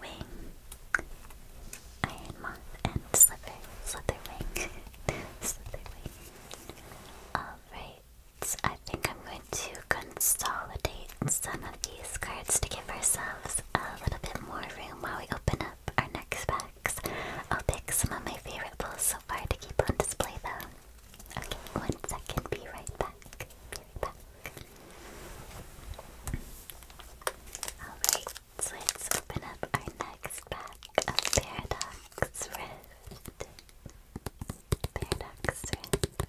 Iron moth and slither slither wing. Alright. I think I'm going to consolidate some of these cards to give ourselves a little bit more room while we open up our next packs. I'll pick some of my favorite pulls so far to keep on display though. Okay, one second, be right back. Alright, so let's open up our next pack of Paradox Rift. Paradox Rift.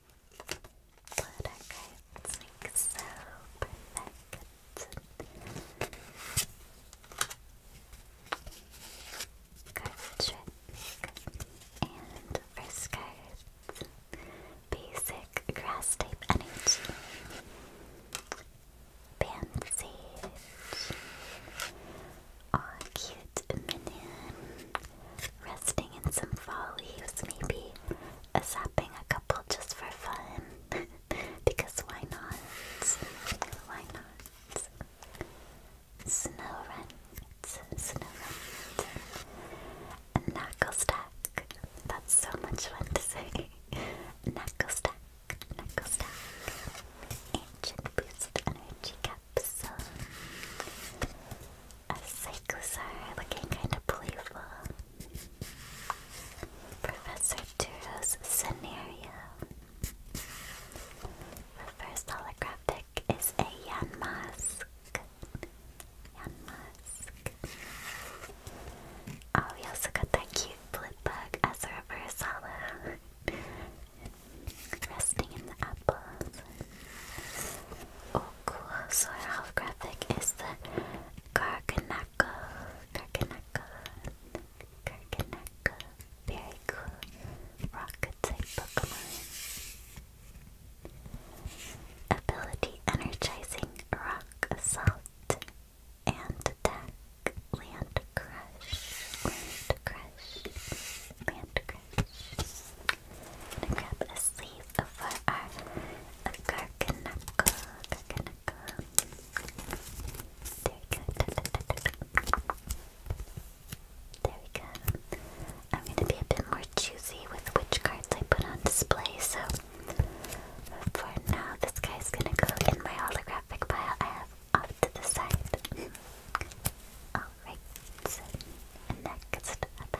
But I so perfect. Card trick and first Basic grass type energy. Band cute minion resting in some fall leaves, maybe a zapping a couple just for fun. because why not? Why not? Snow run, snow That's so much fun to say. knuckle stack, knuckle boost energy capsule a Psychosaur looking kind of playful. Professor Turo's scenario. The first holographic is a Yan Mask. Yan Mask. Oh, we also got that cute blip bug as a Resting in the apples. Oh, cool. So our graphic is the Garganaka. Garganaka. Garganaka. Very cool. Rocket type Pokemon. Ability Energizing Rock Assault and Attack. Land Crush. Land Crush. Land Crush. I'm gonna grab a sleeve for our Garganako. Garganako. There go. Da, da, da, There we go. I'm gonna be a bit more choosy with which cards I put on display, so for now, this guy's gonna go in my holographic pile I have off to the side. Alright, so next back, next back.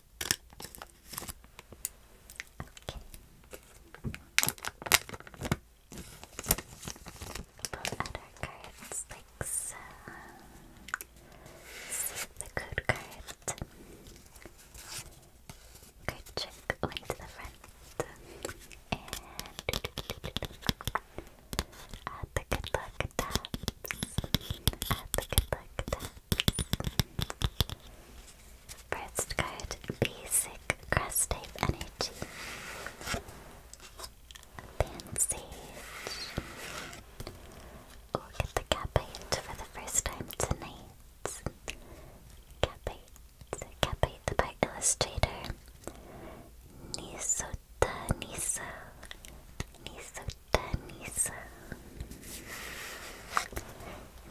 Put other cards like so. Uh, the code card. Card trick went to the front. And add uh, the good luck taps. Add uh, the good luck taps. First card, basic grass type energy. Pansage. We'll get the Capite for the first time tonight. Capite. Capite the Bite Illustrator. Nisota Niso. Niso Danisa.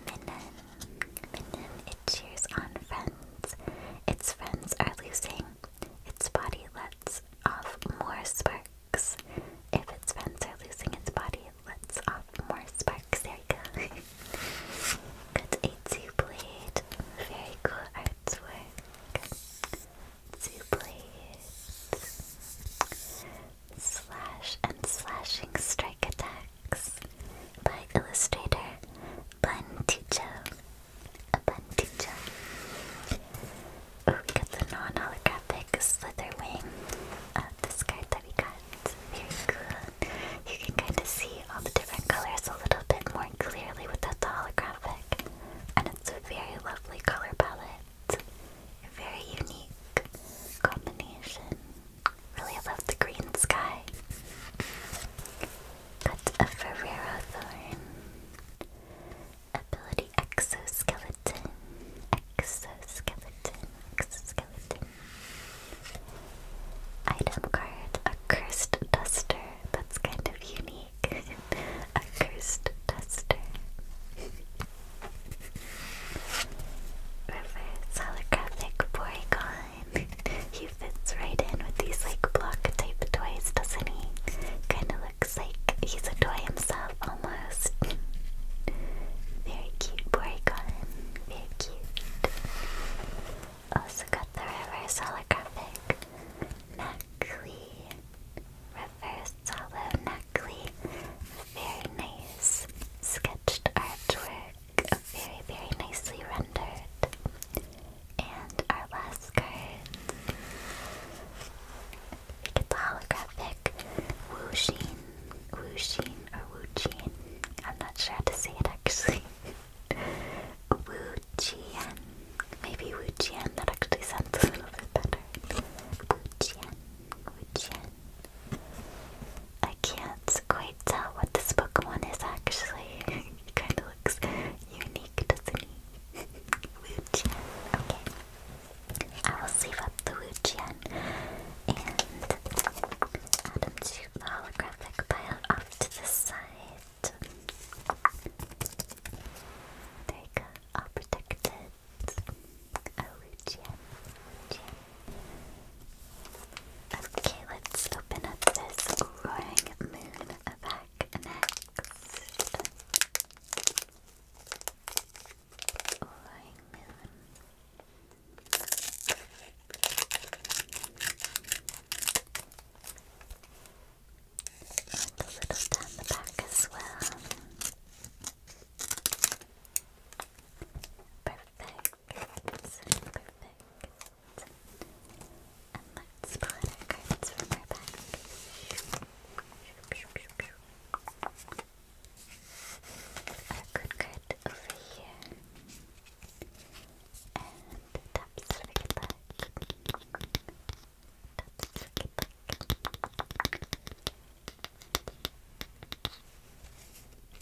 Minnan. Minnan, it cheers on friends. Its friends are losing. Its body lets off more sparks. If its friends are losing, its body lets off more sparks. There we go. Good Atsu blade. Very cool artwork. Two blades slash and slashing strike attacks by illustrator Bun Ticho. A Bun Ticho. Ooh, got the non-holographic slither wing of this card that we got. Very cool. You can kind of see all the different colors a little bit more clearly without the holographic. And it's a very lovely color palette but a very unique combination. Really love the green sky. Got a Ferrero Thorn. Ability Exoskeleton. Exoskeleton. Exoskeleton. Item card, a cursed duster. That's kind of unique. a cursed duster. Reverse holographic Porygon. he fits right in with these like block type toys, doesn't he? Kinda looks like he's a toy himself almost. Very cute Porygon. Very cute. Also got the reverse holographic Maclean. Reverse hollow exactly. Very nice sketched artwork, very, very nicely rendered. And our last card, we get the holographic Wuxin, Wuxin or Wuxin. I'm not sure how to say it actually. Wu Wujian. Maybe Wujian. That actually sounds a little bit better. Wu Wu Wujian. I can't quite tell what this Pokemon is actually. it kind of looks unique, doesn't he? Wujian. Okay. I will save up the Wujian and add him to the holographic pile off to the side. There you go. All protected. Okay, let's open up this Roaring Moon pack next. Roaring Moon. And a little the back as well. Perfect. Perfect. And let's pull our good card over here. And taps for good luck. Taps for good luck.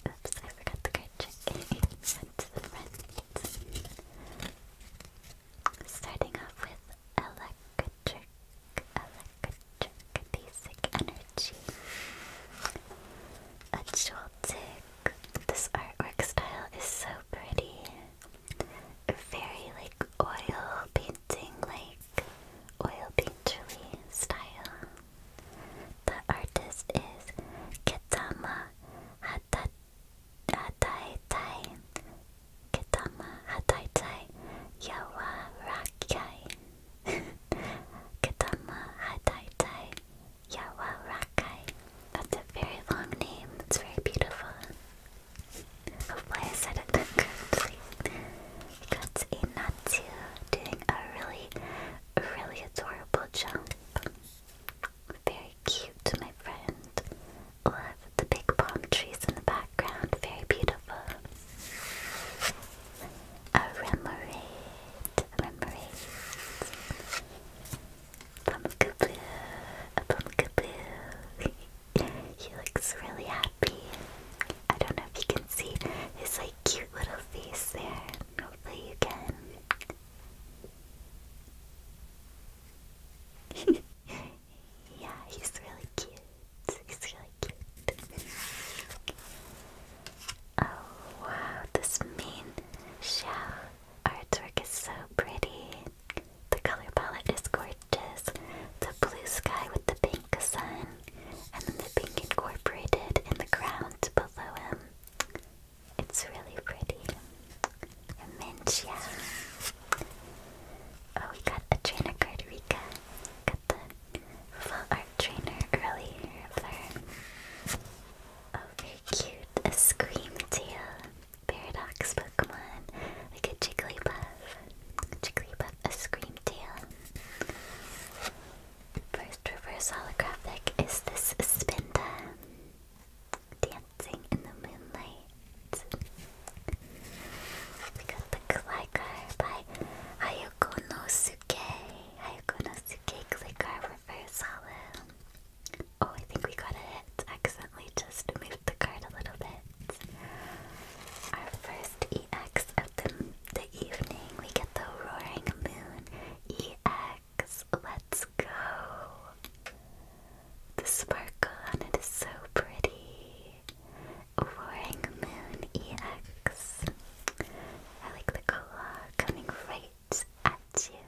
Oops, I forgot the card Starting off with electric, electric, basic energy. A joltic. This artwork style is so pretty. Very like oil painting, like oil painterly style. The artist is Ketama Hata Hataitai Ketama Hataitai Yawarakai Ketama Hataitai Yawarakai That's a very long name, it's very beautiful Hopefully I said it correctly got a Natsu doing a really, really adorable jump. Very cute, my friend. the big palm trees in the background. Very beautiful. A remoraid, a remoraid. Pumpkaboo, a pumpkaboo. he looks really happy. I don't know if you can see his like cute little face there. Hopefully you can. yeah, he's really cute. He's really cute. oh wow, this main shell artwork is so pretty. The color palette is gorgeous. The blue sky with the pink pink sun, and then the pink incorporated in the ground below him. It's really pretty. Amentia. Oh, we got a trainer card, Rika. Got the full art trainer earlier of Oh, very cute. A Scream Tail. Paradox Pokemon. Like a Jigglypuff. Jigglypuff, a Scream Tail. First reverse holographic is this Spinda dancing in the moonlight. We got the Gligar by Ayako no Suke. Ayako no reverse holo. Oh, I think we got a Accidentally just moved the card a little bit. Our first EX the, evening, we get the roaring moon EX. Let's go. The sparkle on it is so pretty. Roaring moon EX. I like the claw coming right at you.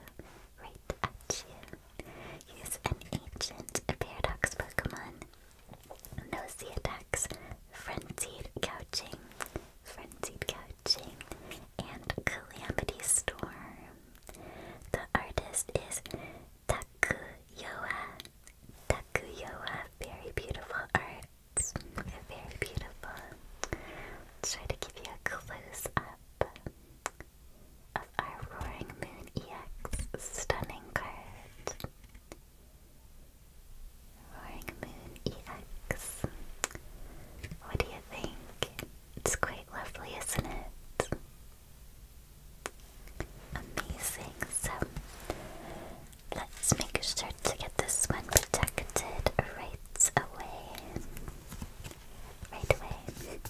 Right at you. He's an ancient paradox Pokemon. Knows the attacks Frenzied Couching, Frenzied Couching, and Calamity Storm. The artist is Takuyoa. Takuyoa, very beautiful art. Very beautiful. Let's try to give you a close up of our Roaring Moon EX stunning card. Roaring Moon EX. What do you think? It's quite lovely, isn't it? Amazing. So let's make sure to get this one protected right away. Right away.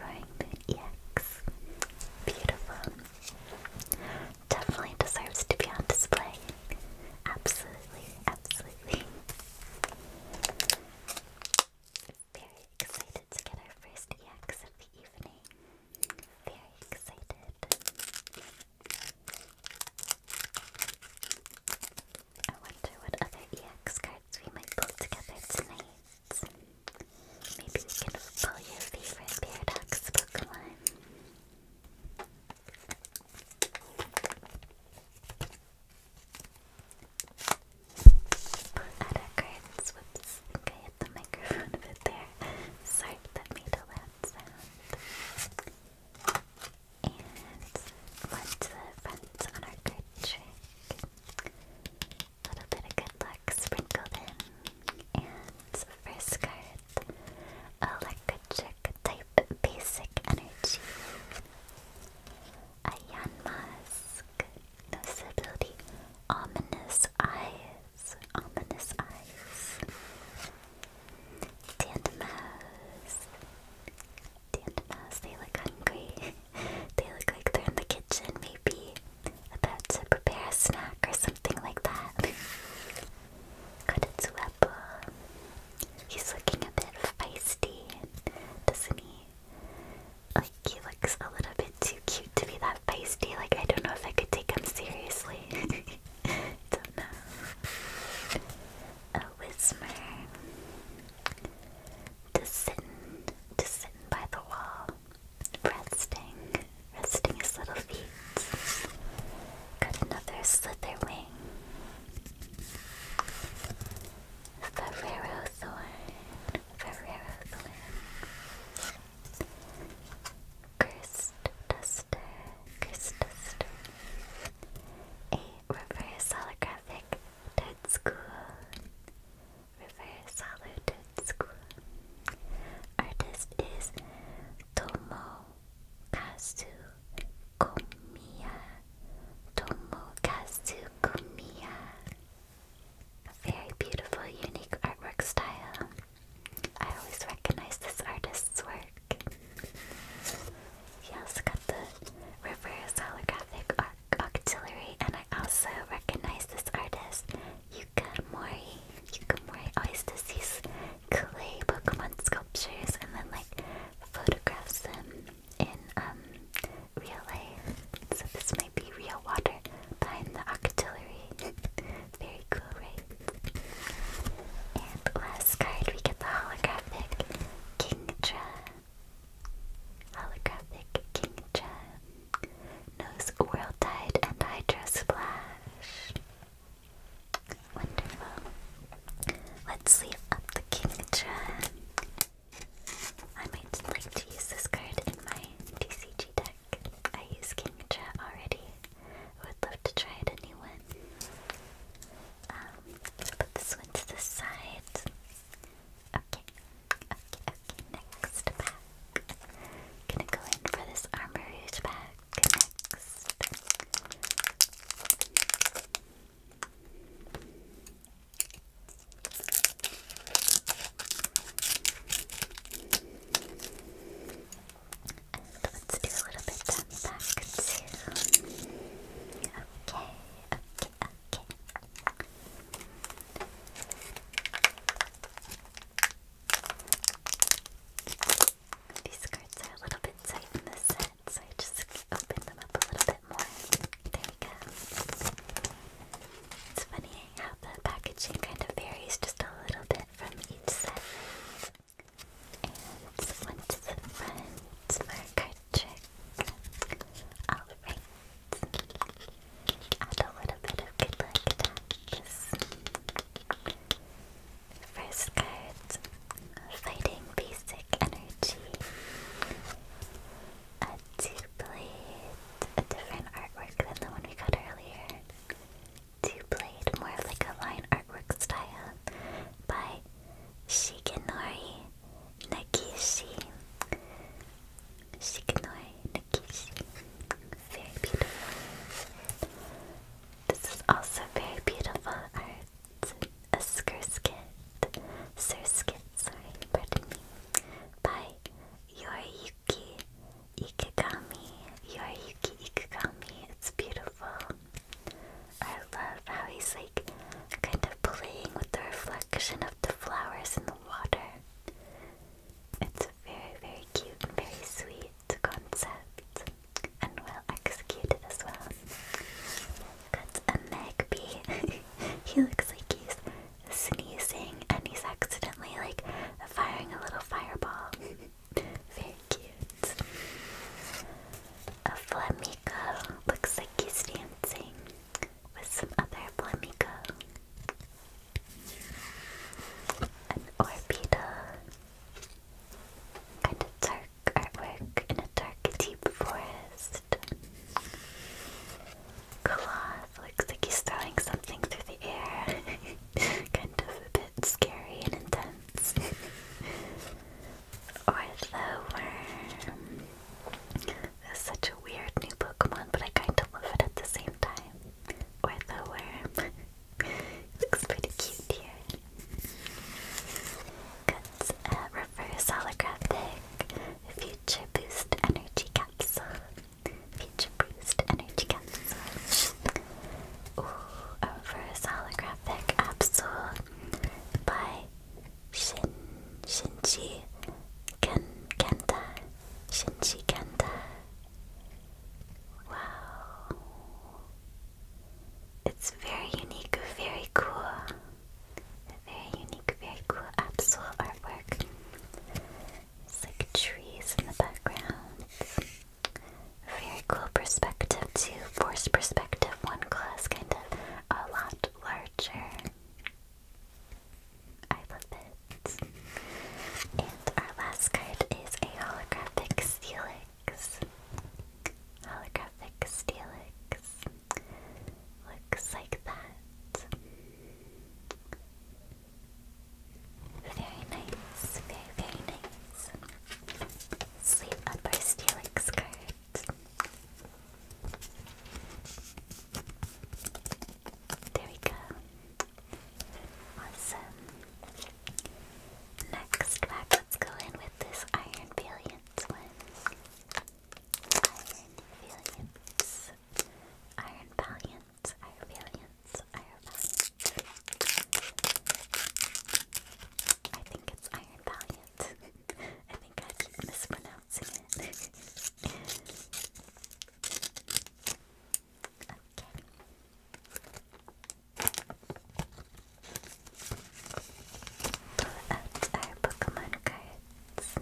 Roaring Moon EX. Beautiful. Definitely deserves to be on display. Absolutely, absolutely. Very excited to get our first EX of the evening. Very excited. I wonder what other EX cards we might pull together tonight. Maybe we can pull your favorite Paradox Pokemon. Pull out our cards. Whoops. Okay, hit the microphone a bit there. Sorry, that made a loud And one to the front on our card trick. A little bit of good luck sprinkled in. And first card with type basic energy. Ion mask, ominous eyes, ominous eyes. Dandemose. Dandemose, they look hungry. they look like they're in the kitchen, maybe about to prepare a snack or something like that. Kotetsuepo. He's looking a bit feisty, doesn't he? Like, he looks a little bit too cute to be that feisty. Like, I don't know if I could take him seriously. don't know. A Whismer. To sit, to sit by the wall. Resting, resting his little feet. Got another slither wing. Ferrero thorn, Ferrero thorn. Cursed duster, A reverse holographic dead school. Reverse holo school. Artist is Tomo Tomokazu Komiya. Tomo Tomokazu Komiya. very beautiful, unique artwork style. I always recognize this artist's work. He also got the reverse holographic arc auxiliary, and I also recognize this artist you Yukamori. Yukamori. Always does these clay Pokemon sculptures and then like photographs them in um, real life. So this might be real water behind the octillery. Very cool, right? And last card we get the holographic Kingdra. Holographic Kingdra. Nose World Tide and Hydro Splash. Wonderful. Let's leave up the Kingdra. I might like to this card in my TCG deck. I use Kingdra already. would love to try a new one. Um, put this one to the side. Okay, okay, okay, next pack. Gonna go in for this armor rouge next. let's do a little bit down back too. Okay, okay, okay. These cards are a little bit tight in this set, so I just opened them up a little bit more. It's funny how the packaging kind of varies just a little bit from each set. And one the front for a card Add a little bit of good First card Fighting Basic Energy. A two blade, a different artwork than the one we got earlier. Two blade, more like a line artwork style by Shigenori Nakishi. Shigenori Nakishi. Very this is also very beautiful art. A skirskit. Surskit, sorry, pardon me. By Yoriyuki Ikigami. Yoriyuki Ikigami. It's beautiful. I love how he's like kind of playing with the reflection of the flowers in the water. It's very, very cute very sweet concept and well executed as well. Got a magpie. he looks like he's sneezing and he's accidentally like firing a little fireball. very cute. A flamingo looks like he's dancing with some other flamingo. An Orbeetle Art dark artwork in a dark, deep forest. Cloth looks like he's throwing something through the air. kind of a bit scary and intense. or the worm. This such a weird new Pokemon, but I kind of love it at the same time. Or the worm. Looks pretty cute here. Got a uh, reverse holographic future boost energy capsule. Future boost energy capsule. Ooh, a reverse holographic capsule by Shin Shinji Ken Shinji Kenta. Wow. It's very unique, very cool. Very unique, very cool Absol artwork. It's like trees in the background. Very cool perspective too. Forced perspective. One claw kind of a lot larger. I love it. And our last card is a holographic Steelix. Holographic Steelix. Looks like that. Very nice, very, Sleep up Steelix card. There we go. Awesome. Next pack, let's go in with this Iron Valiant one. Iron Valiant. Iron Valiant. Iron Valiant. Iron Valiant. I think it's Iron Valiant. I think I keep mispronouncing it. Pull out our Pokemon cards.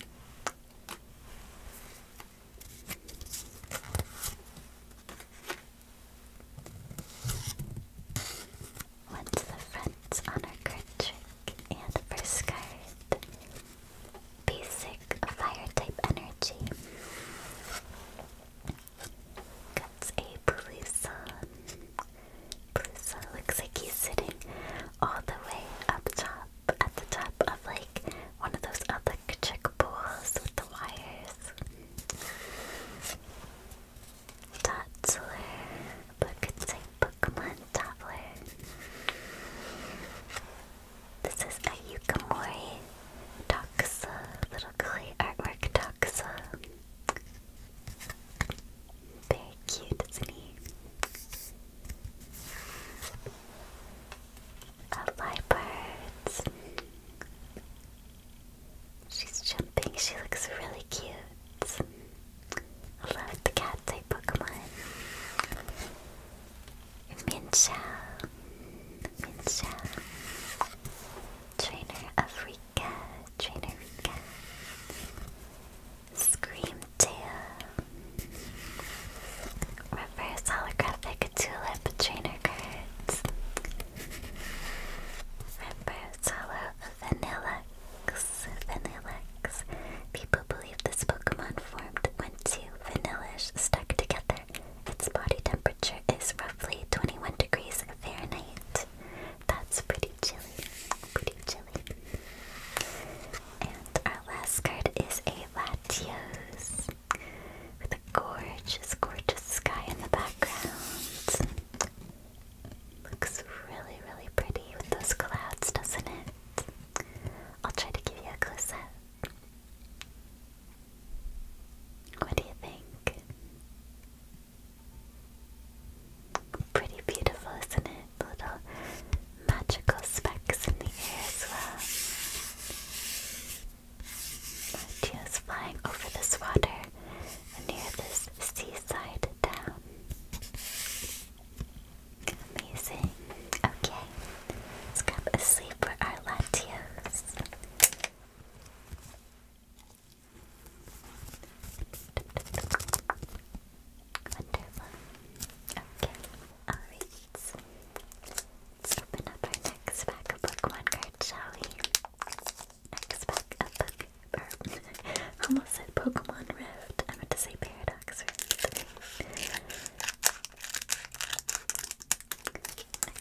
One to the front on our card and the first Basic Fire type Energy. That's a blue sun. Blue sun looks like he's sitting all the way up top, at the top of like one of those electric pools with the wires. Dotzler, but it's like Pokemon Doppler. This is a Yukamori. Doxa, little clay artwork Doxa. Very cute, isn't he? A Liebert. She's jumping, she looks really cute. I love the cat type Pokemon. Minchao. Minchao. Trainer Africa, Trainer Rika, Scream Tail, Reverse Holographic Tulip Trainer Cards, Reverse Holo Vanillax, Vanillax. People believe this Pokemon formed when two vanillish stuck together its body temperature is roughly 21 degrees Fahrenheit. That's pretty chilly. Pretty chilly. And our last card is a Latios with a gorgeous, gorgeous sky in the background. Looks really, really pretty with those clouds, doesn't it? I'll try to give you a closer. What do you think? Pretty beautiful, isn't it? Little magical specks in the air as well. Teals flying over this water near this seaside town. Amazing. Okay, let's grab a sleep for our Latios. Wonderful. Okay, alright. Let's open up our next pack of Pokemon cards, shall we? Next pack of Pokemon. almost said Pokemon Rift. I meant to say Paradox Rift.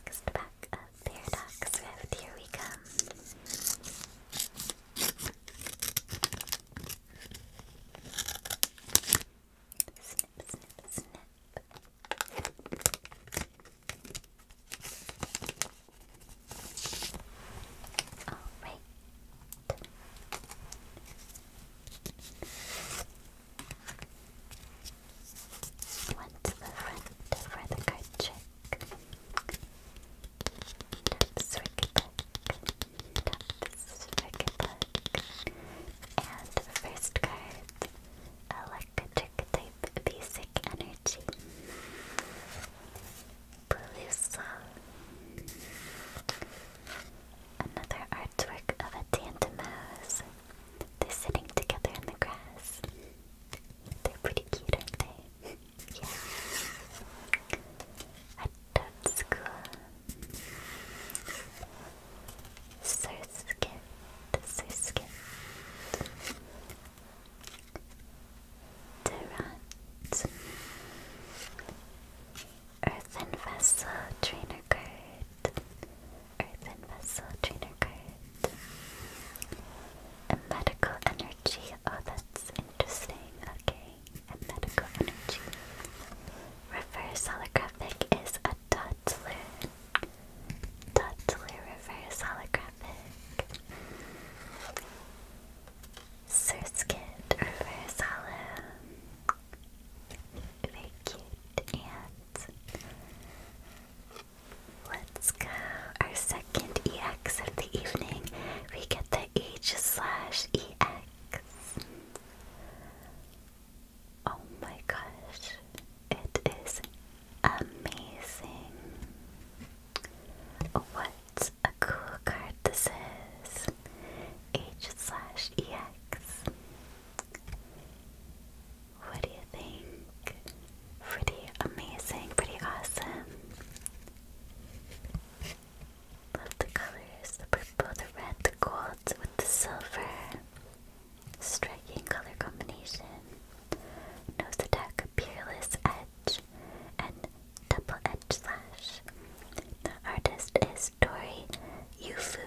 Next pack Paradox Rift, here we come. Snip, snip, snip. Alright. Went to the front for the card trick. Taps Ricketbuck. And first card, Electric Type Basic Energy. Pelusa. Another artwork of a Tantamouse. They're sitting together in the grass. They're pretty cute, aren't they? yeah. At that school. Surskit. Surskit. Durant. Earthen Vessel Trainer Card. Earthen Vessel Trainer card. A medical energy. Oh, that's interesting. Okay. A medical energy. Reverse holographic is a toddler. Toddler reverse holographic. Surskit reverse hollow. Very cute. And Let's go. Our second EX of the evening. We get the H slash EX. Oh my gosh. It is amazing. What a cool card this is. H slash EX. What do you think? Pretty amazing, pretty awesome. Love the colors the purple, the red, the gold with the silver. Striking color combination. Nose peerless edge, and double edge slash. The artist is Tori Yufu.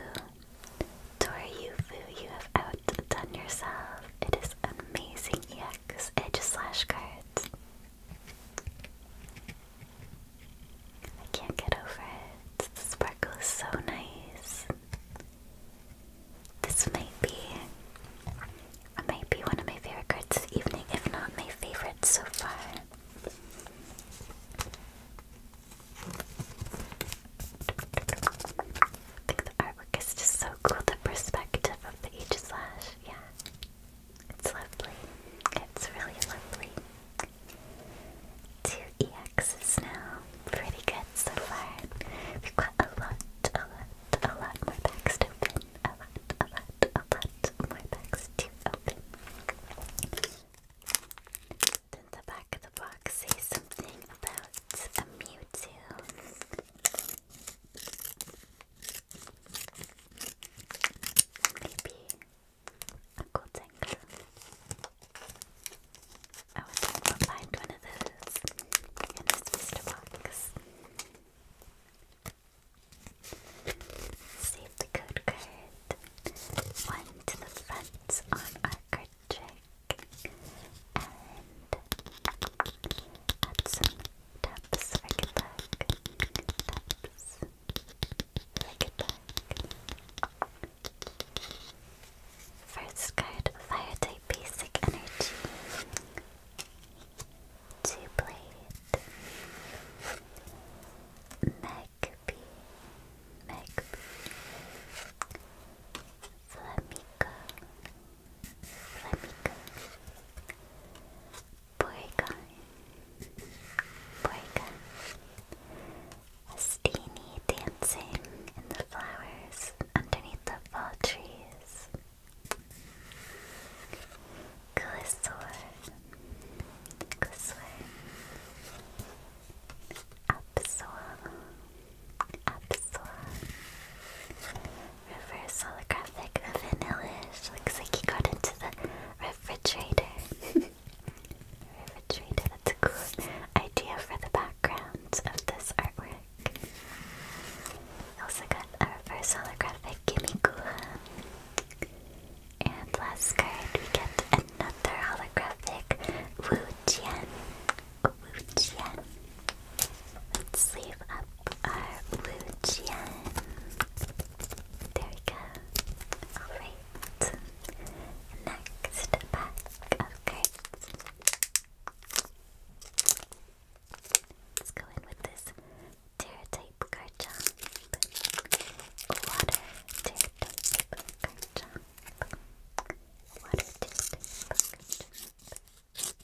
Tori Yufu, you have outdone yourself. It is amazing EX Edge Slash cards. I can't get over it. The sparkle is so nice. This might be might be one of my favorite cards this evening, if not my favorite so far. I think the artwork is just so cool, the perspective of the H slash, yeah. It's lovely. It's really lovely. Two EXs now. Pretty good so far. We've got a lot, a lot, a lot more packs to open. A lot, a lot, a lot more packs to open. Then the back of the box says something about a Mewtwo. Maybe a cool tanker. I would like to find one of those in this Mr. Box. Save the code card. One to the front on our card First card, Fire type basic energy. Two blade. Magpie. Magpie. Flamico. Let me go. Porygon. Porygon. Steenie dancing in the flowers underneath the fall trees. Glissor. Glissor. Upswell. Absol. Reverse holographic vanillish. Looks like he got into the refrigerator. refrigerator, that's a cool idea for the background of this artwork. Also got a reverse holographic Gimikua. And last card we get another holographic Wu Jian. Lucian. Let's sleeve up our Lucian. There we go. Alright. Next pack of Let's go in with this Terra type Garchomp. Water Terra type Garchomp. Water Terra type Garchomp. Snip,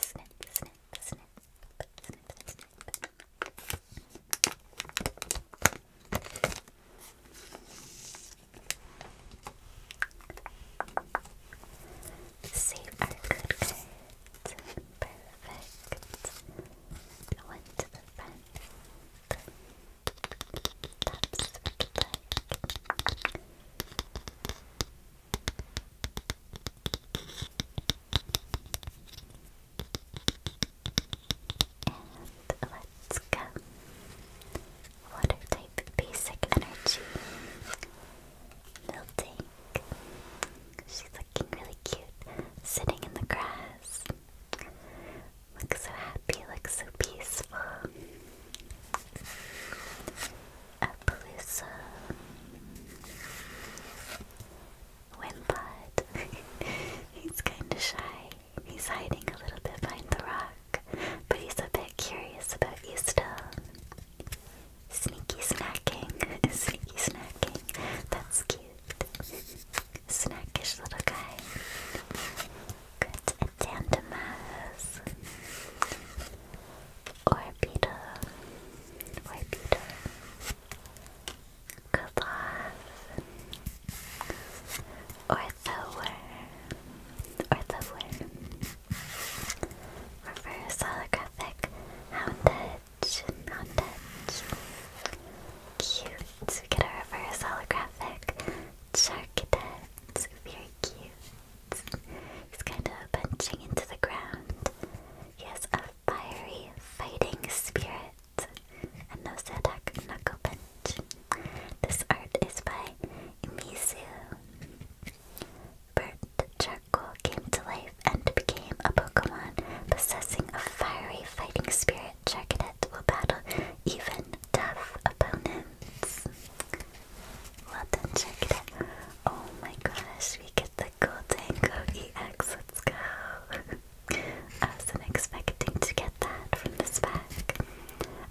snip, snip, Save our good cards. Perfect. One to the front. And let's go. Water type basic energy. Milting. She's looking really cute. Sitting in the grass. Looks so happy, looks so peaceful. Appaloosa. Wimpod. he's kinda shy. He's hiding a little bit behind the rock, but he's a bit curious about you still. Sneaky snacking. Sneaky snacking. That's cute snackish little guy. Good Dandamas. Orbita. Orbita. Kaboth. Orthoworm. Orthoworm. Reverse holographic Houndedge. Houndedge. Cute we get a reverse holographic Charcadet. Very cute. He's kind of punching into the ground. He has a fiery fighting spirit and no Zadak knuckle punch. This art is by Mizu. Burnt charcoal came to life and became a Pokemon possessing a fiery fighting spirit. Juggernaut will battle even tough opponents. Well done, Juggernaut. Oh my gosh, we get the Goldango EX, let's go. I wasn't expecting to get that from this pack.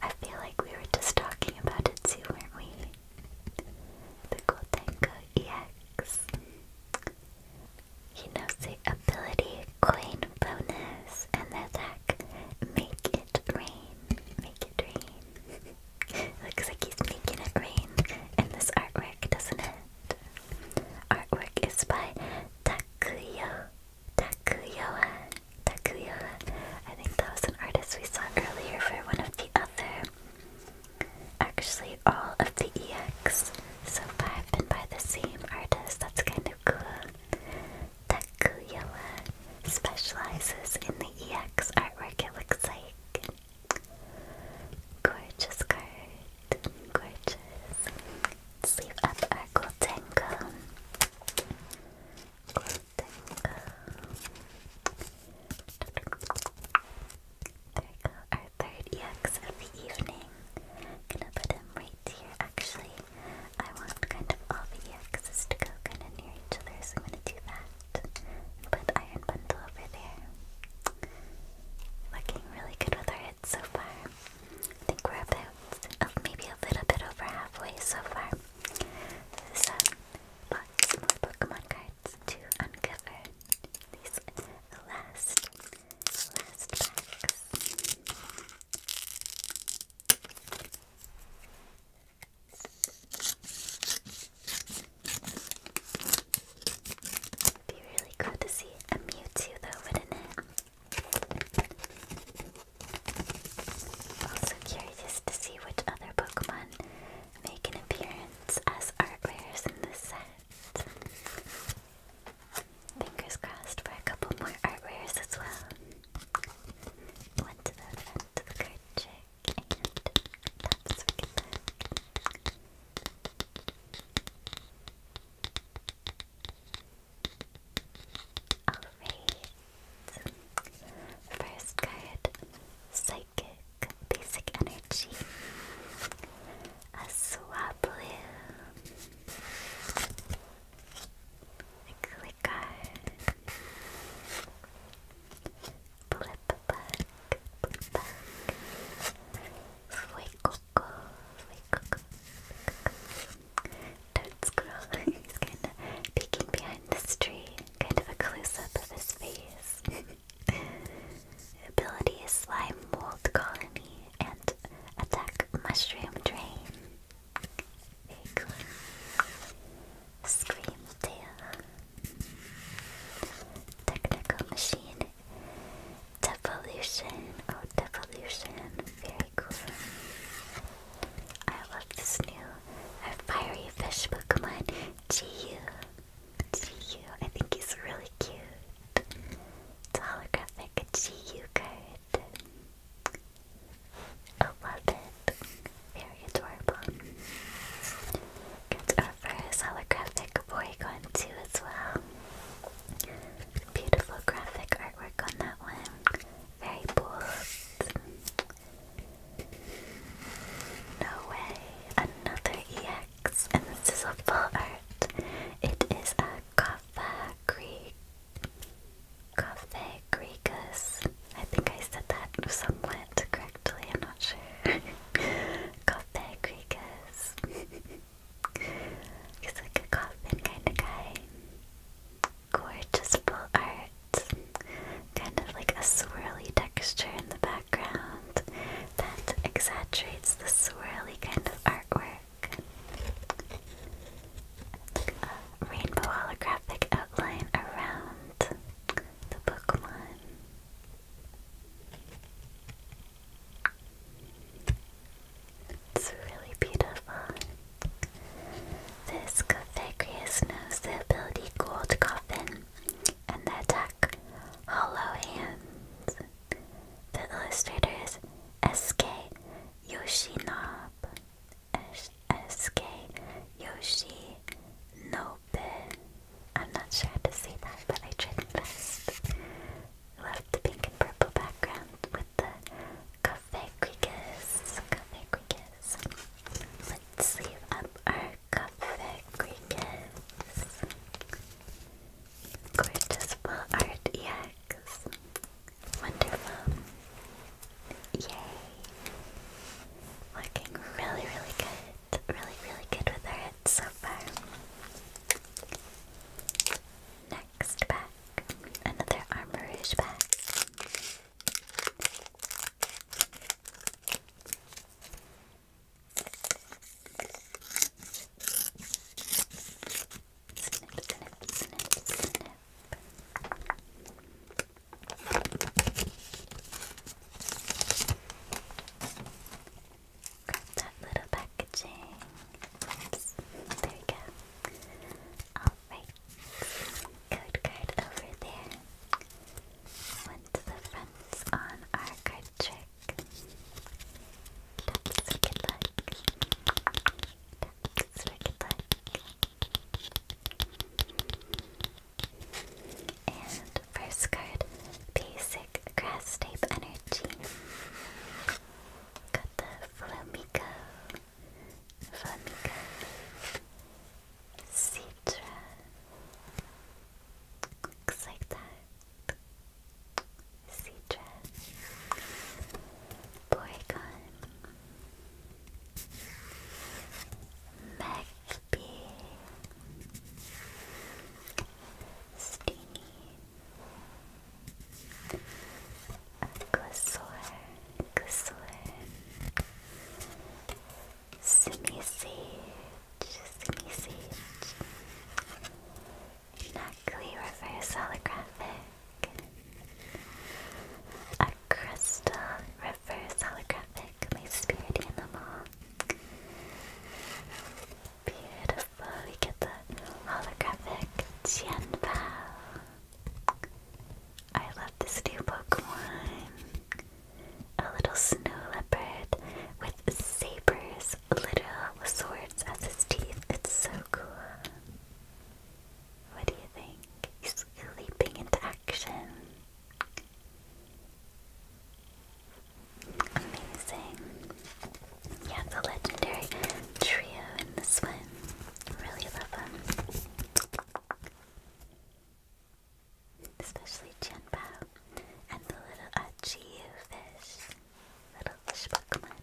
I feel like we were just talking about it too, weren't we? The Goldango EX. He knows the ability queen bonus and the attack Make It Rain. Make It Rain. Looks like he's making it rain and this artwork, doesn't it? Artwork is by Takuyo. Takuyoa. Takuyoa. I think that was an artist we saw earlier for one of the other. Actually, all of the EX so far have been by the same artist. That's kind of cool. Takuya specializes in the EX artwork, it looks like. Gorgeous card. Gorgeous. Sleeve up our Goldengo. Goldengo. There we go, our third EX of the evening gonna put them right here. Actually, I want kind of all the axes to go kind of near each other, so I'm gonna do that. Put Iron Bundle over there. Looking really good with our heads so far. I think we're about oh, maybe a little bit over halfway so far. So, lots more Pokemon cards to uncover. These last, last packs. It'd be really cool to see a Mewtwo though, wouldn't it? Also curious to see which other Pokemon make an appearance as art rares in this set. Fingers crossed for a couple more art rares as well. One to the front of the card trick Alright. First card Psychic Basic Energy. A Swablu click on Blip Bug, Blip Bug, Sway Don't scroll, he's kind of peeking behind this tree, kind of a close of his face. Ability Slime Mold Colony and attack Mushroom Drain. Very cool. Scream Tail. Technical Machine. Devolution. Oh, Devolution. Very cool. I love this new uh, fiery fish Pokemon, To you. To you. I think he's really cute. It's a holographic Chiyu card. I love it. Very adorable. Gets our first holographic Porygon too as well. Beautiful graphic artwork on that one. Very bold. No way. Another EX. And this is a full art. It is a Kaffa Creek Coffee I think I said that somewhat correctly, I'm not sure. Coffee He's like a coffin kind of guy. Gorgeous full art. Kind of like a swirly texture in the background that exaggerates the swirly kind of artwork. A rainbow holographic outline around the Pokemon. It's really beautiful. This Cofagrius knows the ability Gold Coffin and the attack Hollow Hands. The illustrator is S.K. Yoshi Yoshinob SK Yoshinobe. I'm not sure how to say that, but I tried my best. Love the pink and purple background with the cafe creakas. Cafe creakas. Let's sleeve up our cafe creakas. Gorgeous full art EX. Wonderful. Yay. Working really, really good. Really, really good with our hits so far. Next pack. Another Armourouge pack snip, snip, that little packaging. There we go. Alright. Code card over there. Went to the fronts on our card trick. That's a good luck. And first card, Basic Grass Type Energy. Got the Flamico, Flamico, Citra. Looks like that. Citra, Porygon, Magpie, Steenie, Aquasaur, Aquasaur, Simi Sage, Simi Sage, Snugly reverse holographic. A crystal reverse holographic. My spirit animal. Beautiful. We get the holographic Tianpao. I love this new one. A little snow leopard with sabers, literal swords as his teeth. It's so cool. What do you think? He's leaping into action. Amazing. Yeah, the legendary trio in this one. Really love them. Especially Jianbao and the little Achiyu fish. Little fish Pokemon,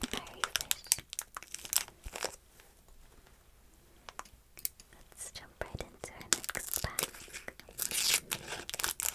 Let's jump right into our next pack. Snip,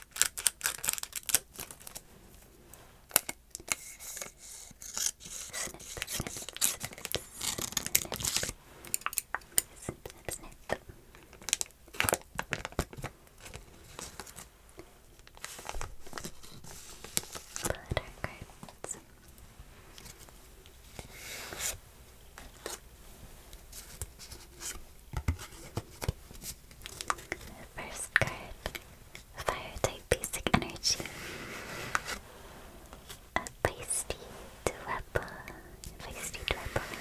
the first card, Fire type basic energy. A feisty Dwebble. Feisty Dwebble.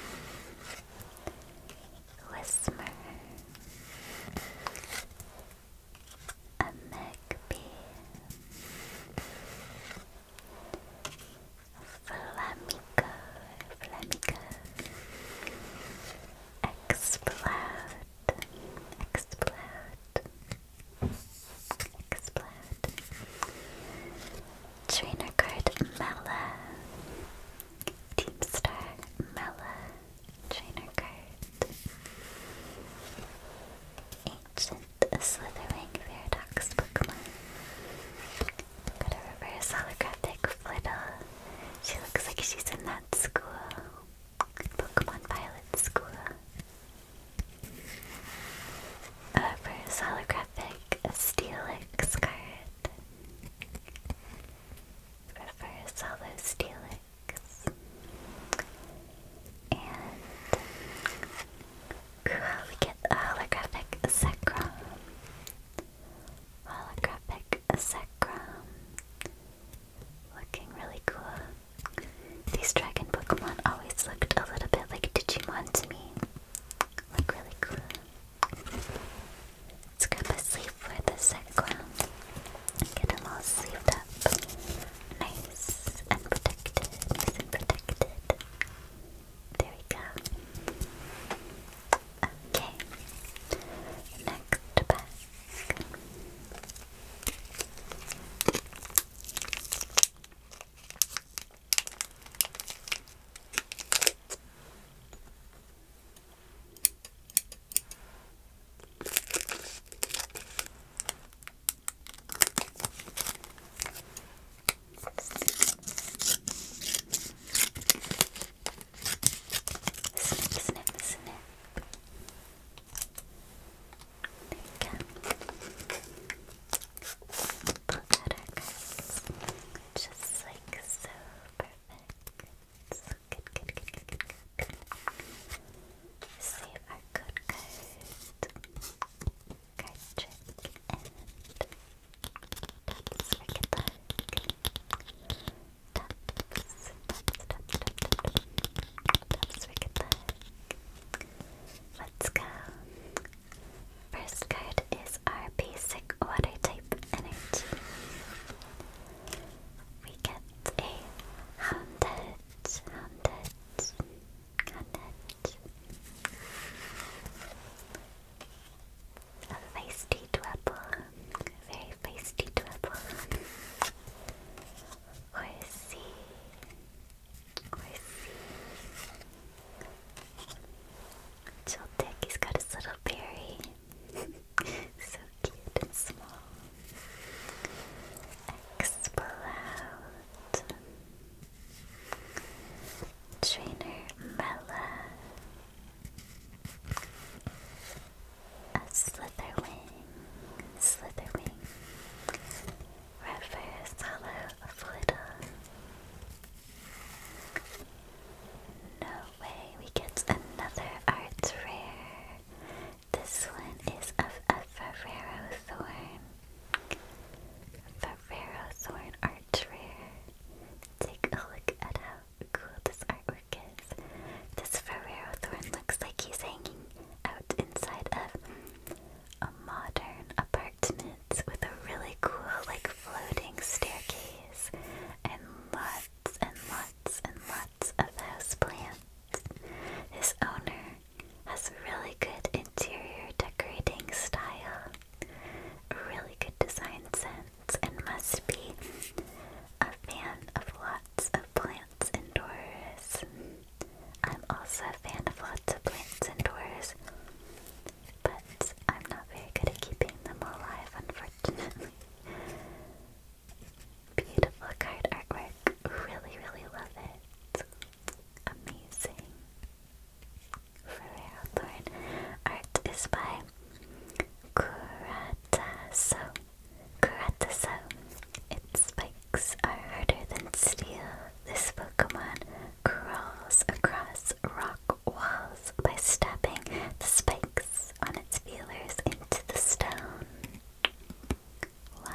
Whismer a magpie, flamico, flamico, explode, explode, explode, trainer card Mela, Teamstar Mela, trainer card. Ancient slithering paradox Pokemon. Got a Flittle. She looks like she's in that school. Pokemon Violet School. A reverse Steelix card. Reverse holo Steelix. And cool, we get holographic sacrum. Holographic sacrum. Looking really cool. These dragon Pokemon always looked a little bit like Digimon to me. Look really cool. Let's grab a sleeve for the sacrum. Get them all sleeved up up. Nice and protected. There we go. Okay. Next pack. Snip, snip, snip. There you go. out our Just like so. Perfect. Good, good, good, good, good, good. Save our code card. Card trick and Let's go. First card is our basic water type energy. We get a Hounded, Hundreds, hundreds. A feisty dwebble, very feisty dwebble. Horsey, horsey. Childick, he's got his little berry. so cute and small. Explode. Trainer Mella. A Slitherwing. Slitherwing. Reverse Hollow Flittle. No way, we get another art rare. This one is of a Ferrero Thorn. Ferrero Thorn Arch Rare. Take a look at how cool this artwork is. This Ferrero Thorn looks like he's hanging out inside of a modern apartment with a really cool, like, floating staircase and lots and lots and lots of house plants. His owner has really good interior decorating style, really good design sense, and must be a fan of lots of plants indoors. I'm also a fan of lots of plants indoors, but I'm not very good at keeping them alive, unfortunately. Beautiful card artwork. Really, really love it. Amazing. Ferrero Thorn. Art is by Kurataso. Kurataso. Its spikes are harder than steel. This Pokemon crawls across rock walls by stepping the spikes on its feelers into the stone. Wow,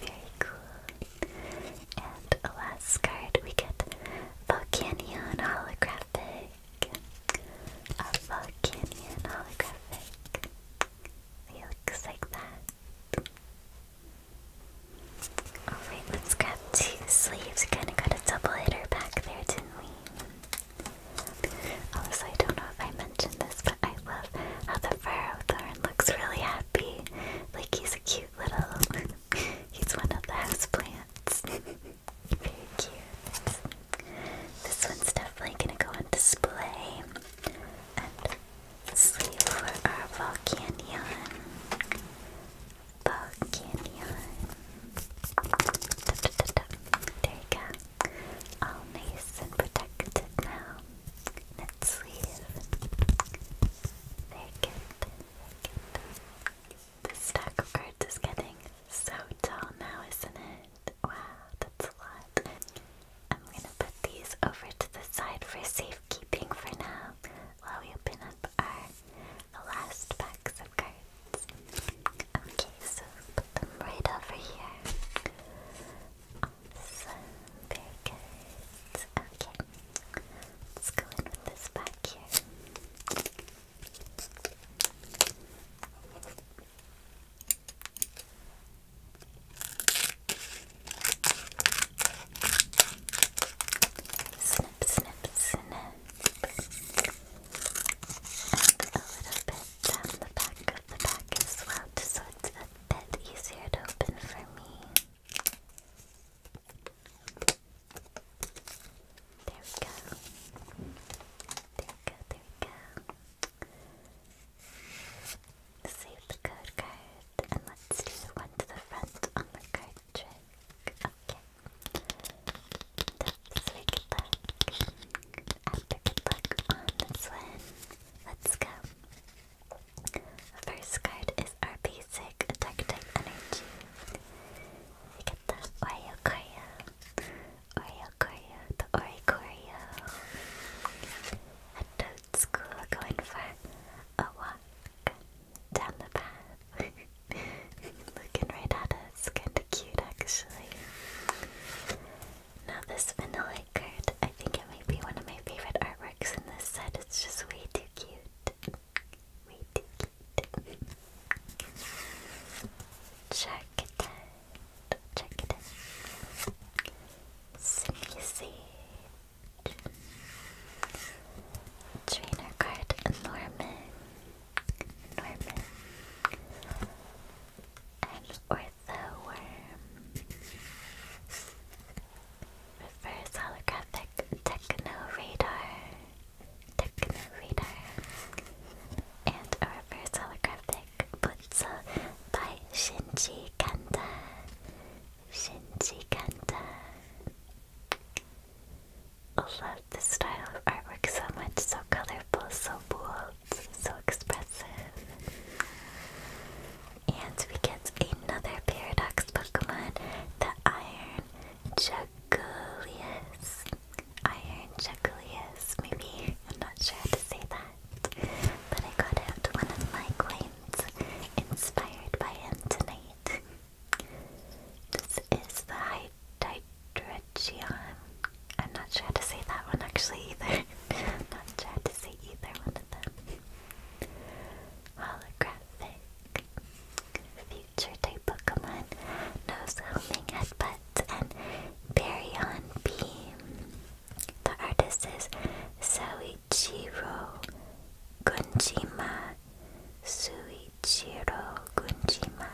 very cool. And last card we get Volcanion Holographic. A Volcanion Holographic. He looks like that. Alright, let's grab two sleeves. kinda got a double hitter back there, didn't we? Also, I don't know if I mentioned this, but I love how the fur of the looks really happy. Like he's a cute little. he's one of the houseplants. Very cute. This one's definitely gonna go on display. And sleeve for our Volcanion. Volcanion. There you go. All nice and protected now. Let's leave. Vacant, stack of cards is getting so tall now, isn't it? Wow, that's a lot. I'm gonna put these over to the side for safekeeping for now while we open up our last packs of cards. Okay, so put them right over here. Awesome. Very good. Okay. Let's go in with this back here. Snip, snip, snip. And a little bit down the back of the back as well, just so it's that's easier to open for me. There we go. There we go, there we go. Save the code card and let's do one to the front on the card trick. Okay. That's very good luck. After good luck on this one, let's go first card is our basic Detective Energy. We get the Oreo Oriocorio, the Oricorio. At Toad School, going for a walk down the path. Looking right at us, kinda cute actually. Now this vanilla card, I think it might be one of my favorite artworks in this set. It's just way too cute. Check it out. Check it out. Sneezy. Trainer card, Norman. Norman. And um, the worm. Reverse holographic techno radar. Techno radar. And a reverse holographic Butsu by Shinji Kanda. Shinji Kanda. I love this style of artwork so much, so colorful, so bold, so expressive. And we get another Paradox Pokemon, the Iron Jugulius. Iron Jugulius, maybe? I'm not sure how to say that. But I got out one of my coins, inspired by him This is the Hydreigon. I'm not sure how to say that one actually either. not sure how to say either one of them. Holographic. Future type Pokemon. Nosehelming Headbutt and Baryon Beam. The artist is Soichiro Gunjima. Suichiro Gunjima.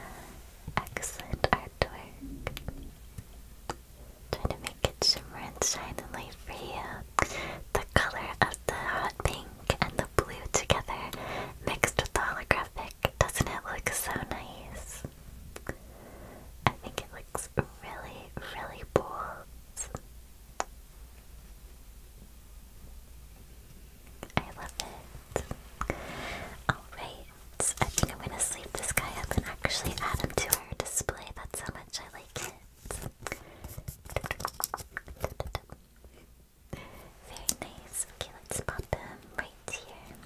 Excellent artwork. Try to make it shimmer and shine the light for you. The color of the hot pink and the blue together, mixed with the holographic, doesn't it look so nice? I think it looks really, really bold. I love it. Alright, I think I'm gonna sleep this guy up and actually add him to our display. That's how much I like it. Very nice. Okay, let's pop them right here.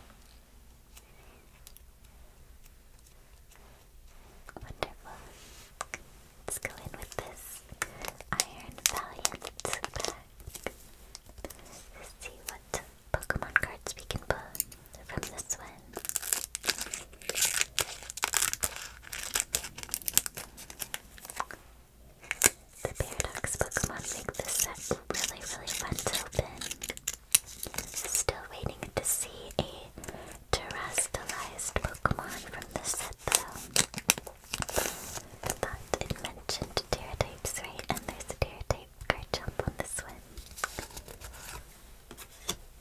Wonderful. Let's go in with this Iron Valiant see what Pokemon cards we can pull from this one. The Paradox Pokemon make this set really, really fun to open. Still waiting to see a terrestrialized Pokemon from this set though. But it mentioned Terratypes, right? And there's a Terratype card jump on this one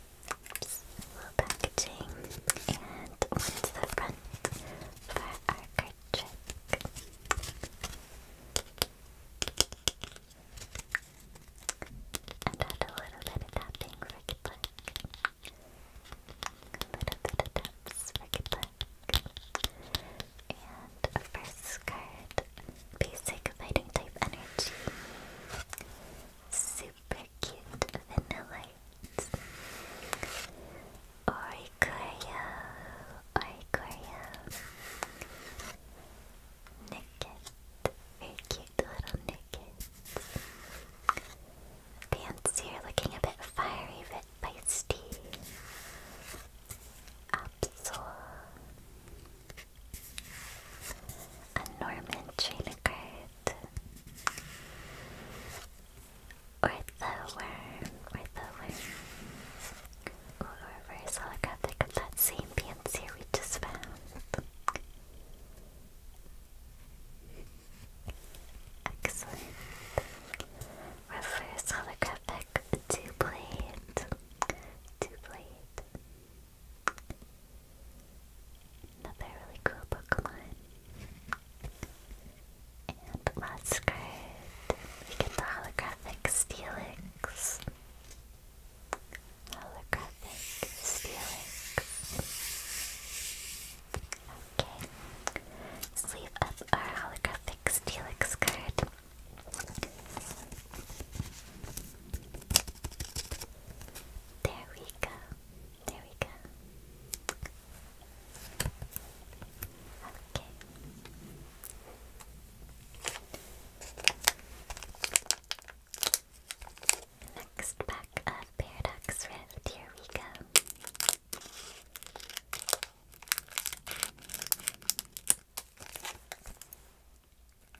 little packaging. And one's the front for our card trick. And add a little bit of tapping for good luck. A little bit of taps for good And a first card, basic fighting type energy. Super cute vanillites. Oricorio, Oricorio. Nicket, very cute little Nickets. Fancier looking a bit fiery but feisty. Absol. A Norman trainer Ortho worm, ortho worm. Ooh, holographic that same fancy we just found. Excellent. Reverse holographic two blade. Two blade. Another really cool Pokemon. And last card, we get the holographic Steelix. Holographic Steelix. Okay. Sleeve up our holographic Steelix card. There we go. There we go. Okay. Next pack of Paradox here we go.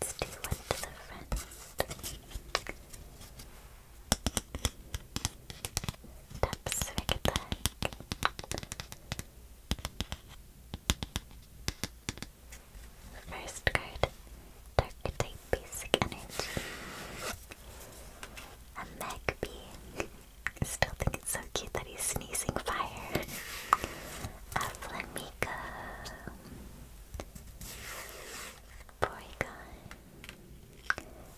Let's do one to First card, Dark Type Basic Energy. A Magpie. I still think it's so cute that he's sneezing fire. A Flamingo. Uh, Porygon.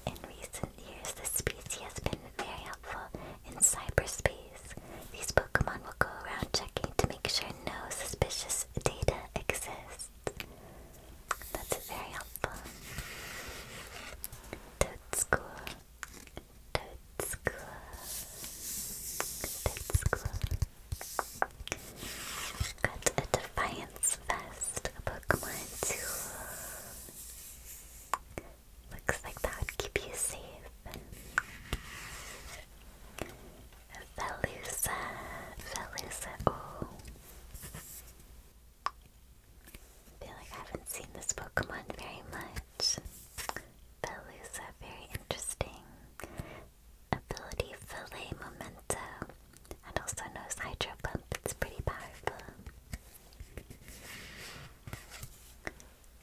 In recent years, this species has been very helpful in cyberspace. These Pokemon will go around checking to make sure no suspicious data exists. That's very helpful. Toad School. Toad School. Toad School. Got a Defiance Vest, a Pokemon too. Looks like that would keep you safe. Velusa, Velusa, oh. I feel like I haven't seen this Pokemon very much. Velusa, very interesting. Ability Fillet Memento. And also knows Hydro Pump. It's pretty powerful.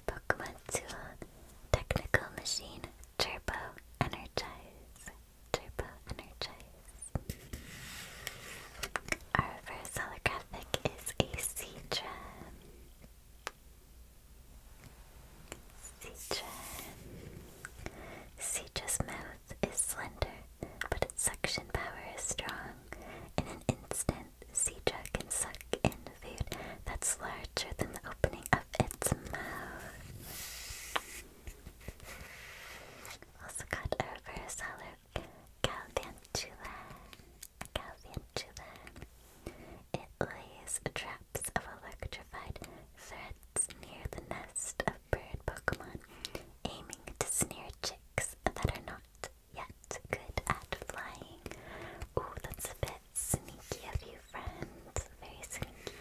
Pokemon Tool. Technical Machine. Turbo Energize. Turbo Energize. Our reverse holographic is a Seedra. Cetra's mouth is slender, but its suction power is strong. In an instant, Cetra can suck in food that's larger than the opening of its mouth. Also got a reverse hollow Galvantula. Galvantula. It lays a trap of electrified threads near the nest of bird Pokemon, aiming to snare chicks that are not yet good at flying. Ooh, that's a bit sneaky of you, friend. Very sneaky.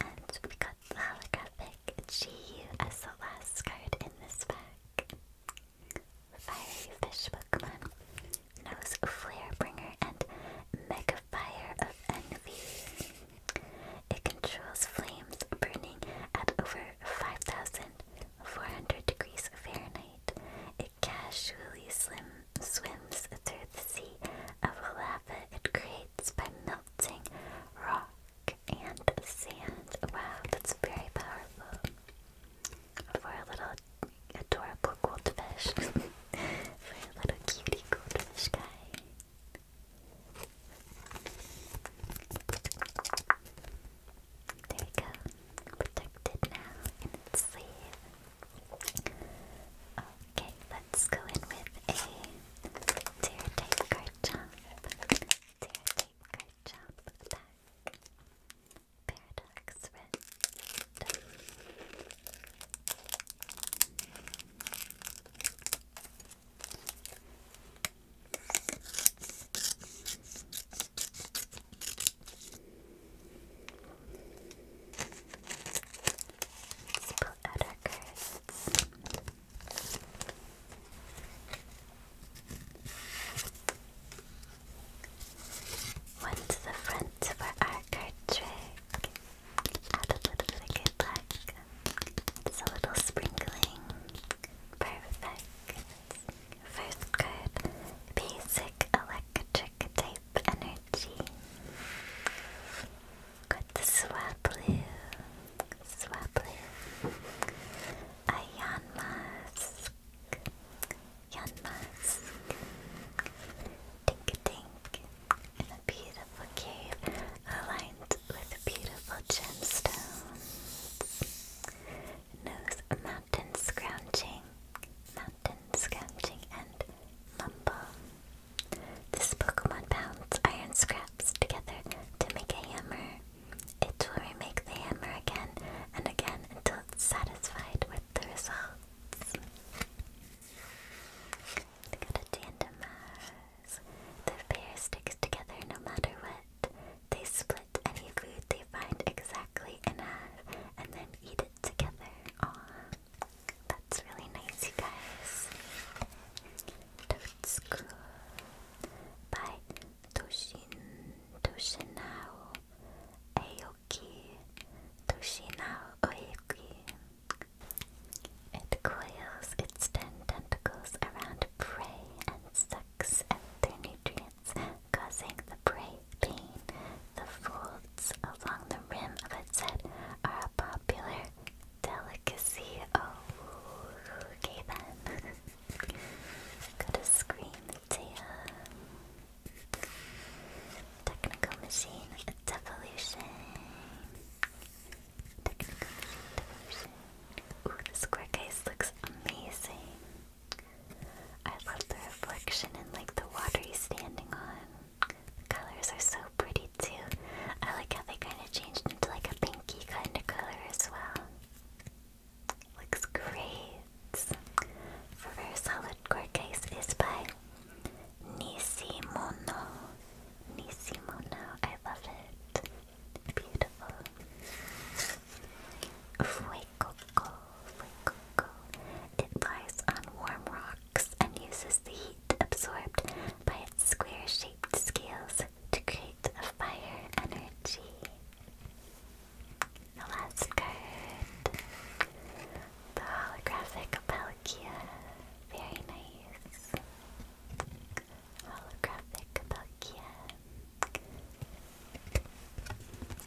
And we got the holographic GU card in this pack. Fiery fish Pokemon. Nose Flare Bringer, and Mega of Envy. It controls flames burning at over 5,400 degrees Fahrenheit. It casually swims through the sea of lava it creates by melting rock and sand. Wow, that's very powerful for a little adorable goldfish. for a little cutie goldfish guy. There we go. Protected now in its sleeve. Okay, let's go in with a tear tape card jump. Tear tape card jump back. Paradox Rift. Let's pull out our cards. One to the front for our card trick. Add a little bit good luck. It's a little sprinkling. Perfect. First card, basic electric type energy. Got the Swablu. Swablu. A Yanmask. Yanmask. Tink-a-tink. An a beautiful cave aligned with beautiful gemstones. Nose mountain scrounging, and mumble. This Pokemon pounds iron scraps together to make a hammer. It will remake the hammer again and again until it's satisfied with the results. They got a tandem mass. The pair sticks together no matter what. They split any food they find exactly in half and then eat it together. Aww. That's really nice, you guys. Toad's By Toshin Toshinao Aoki Toshinao Oeki. It coils its ten tentacles around prey and sucks out their nutrients, causing the prey pain. The folds along the rim of its head are a popular delicacy. Oh, okay Gotta scream, Tia. Technical machine devolution. Technical machine devolution. Ooh, this quick ice looks amazing. I love the reflection and like the water he's standing on. The colors are so pretty too. I like how they kind of changed into like a pinky kind of color as well. Looks great. For very solid core case is by Nisimono. Nisimono. I love it. Beautiful. Fuecoco. Fuecoco. It lies on warm rocks and uses the heat absorbed by its square-shaped scales to create fire energy. The last card. The holographic Palkia. Very nice. Holographic Palkia.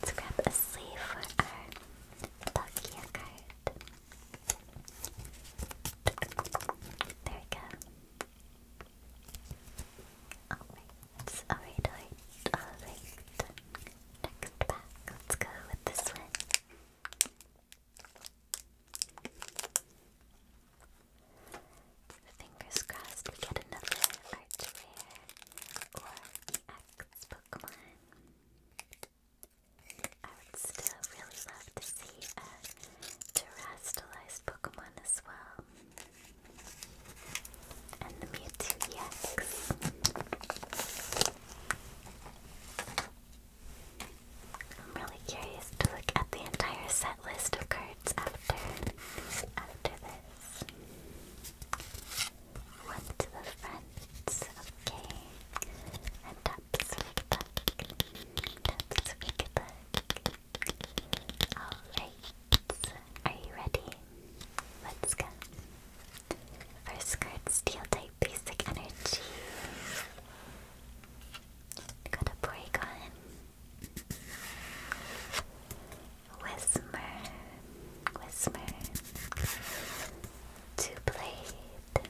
Let's grab a sleeve for our Palkia card. There we go. Alright, alright, alright, alright. Next pack, let's go with this one. Fingers crossed we get another art rare or EX Pokemon. I would still really love to see a terrestrialized Pokemon as well. And the Mewtwo EX. I'm really curious to look at the entire set list of cards after after this. One to the front, okay. And taps for the back. Taps for the back. Alright. Are you ready? Let's go. First card, Steel Type my basic energy. Got a Porygon. Whismer. Whismer. Two blade.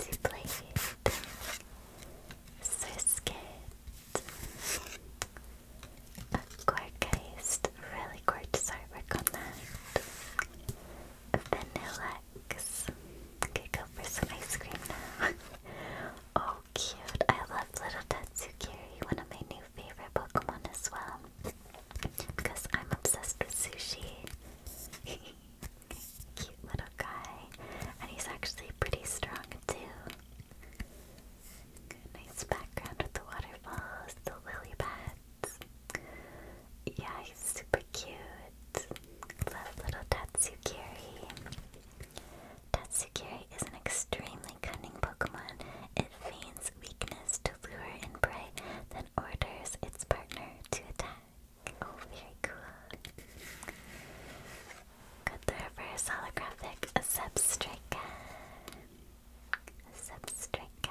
Two blade. Surskit. A Gorgeist. Really gorgeous artwork on that. Vanilla relax. Okay, go for some ice cream oh, cute. I love little Tatsukiri, one of my new favorite Pokemon as well. Because I'm obsessed with sushi. Cute little guy. And he's actually pretty strong too. Nice background with the waterfalls, the lily pads yeah, he's super cute. Love little Tatsukiri. Tatsukiri is an extremely cunning Pokemon. It feigns weakness to lure in prey, then orders its partner to attack. Oh, very cool. Got the reverse holographic Substrika. Substrika.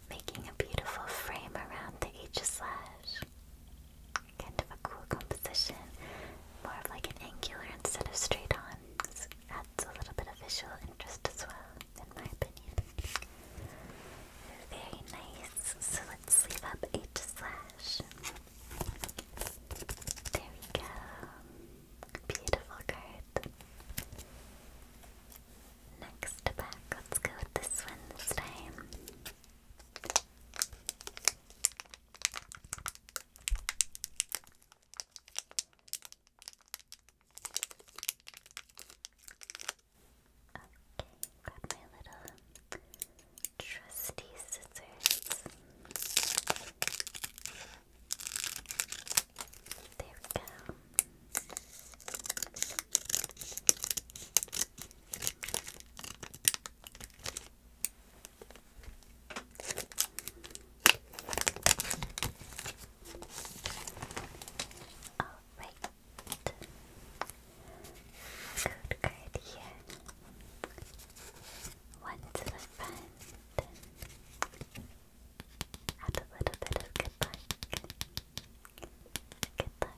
making a beautiful frame around the H slash. Kind of a cool composition, more of like an angular instead of straight on. adds a little bit of visual interest as well, in my opinion. Very nice. So let's leave up H slash. There we go. Beautiful card. Next pack, let's go with this one this time. Okay, grab my little trusty scissors. There we go. Alright. Code card One to the front. Add a little bit of good Good luck, good luck.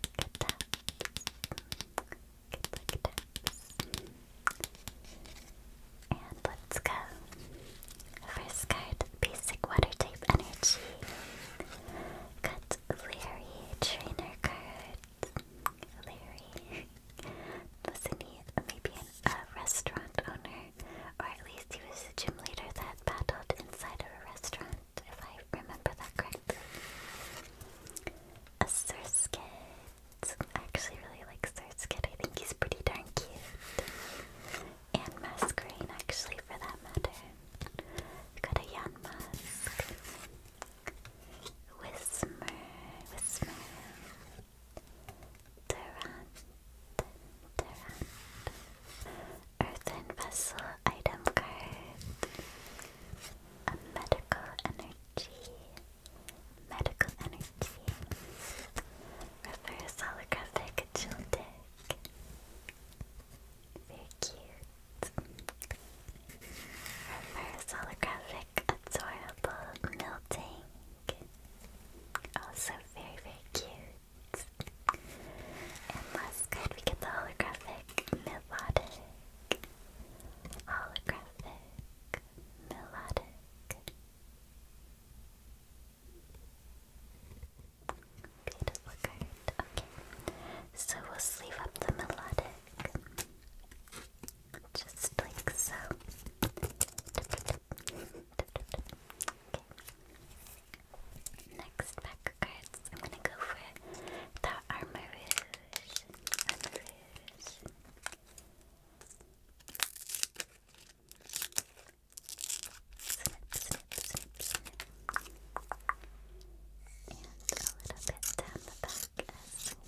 Good luck, taps. And let's go. First card, basic water type energy. Got Larry, trainer card. Larry. Wasn't he maybe an, a restaurant owner? Or at least he was a gym leader that battled inside of a restaurant if I remember that correctly. A Surskit. I actually really like Surskit. I think he's pretty darn cute. And Masquerain, actually, for that matter. got a Yanmask. Whismer. Whismer. Durant. Durant. Earthen Vessel item card. A medical energy. Medical energy. Reverse holographic Joltik. Very cute. Reverse holographic adorable melting. Also very very cute. And last get the holographic melodic. Holographic melodic. Okay. So we'll sleeve up the melodic. Just like so. Next pack I'm gonna go for the Armor Rouge. And a little bit down the back as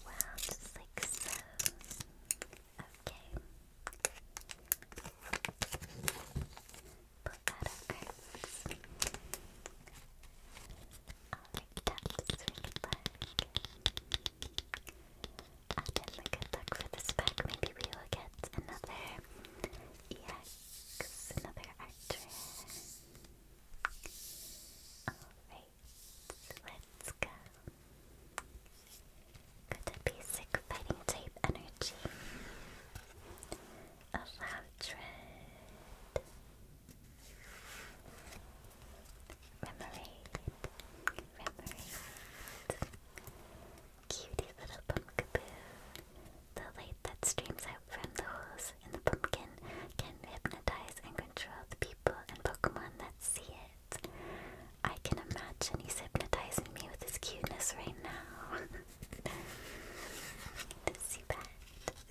well, just like so. Okay put that luck for this pack. Maybe we will get another EX, another Archer. Alright, let's go. Got basic fighting type energy of Outred. Remoraid, Remoraid. Cutie little pumpkaboo. The light that streams out from the holes in the pumpkin can hypnotize and control the people and Pokemon that see it. I can imagine he's hypnotizing me with his cuteness right now. The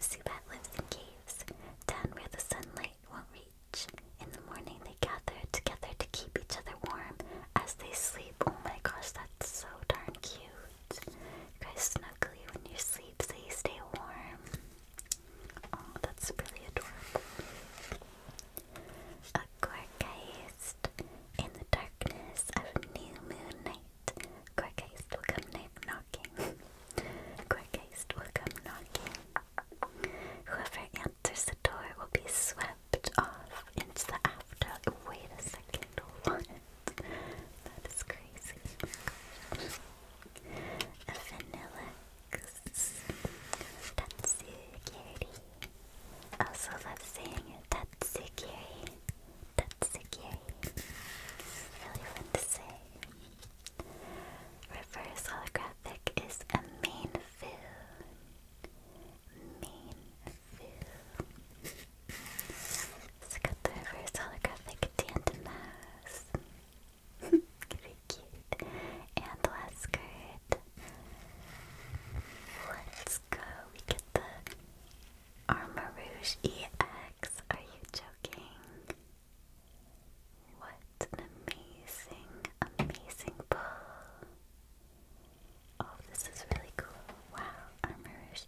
sea bat lives in caves, down where the sunlight won't reach. In the morning, they gather together to keep each other warm as they sleep. Oh my gosh, that's so darn cute. You guys snuggly when you sleep so you stay warm. Oh, that's really adorable. A Gorgeist. In the darkness of new moon night, Quick haste will come knocking. Quick haste will come knocking. Whoever answers the door will be swept off into the after. Wait a second, That is crazy. A Vanillix. Tatsugiri. Also love saying it. that's Tatsugiri. That's Sekiri. Really fun to say. Reverse holographic is a main fill. Main fill. So got the reverse holographic Tandemas. Very cute. And last card. Let's go. We get the Armor EX, are you joking? What an amazing, amazing pull. Oh, this is really cool. Wow, Armor EX.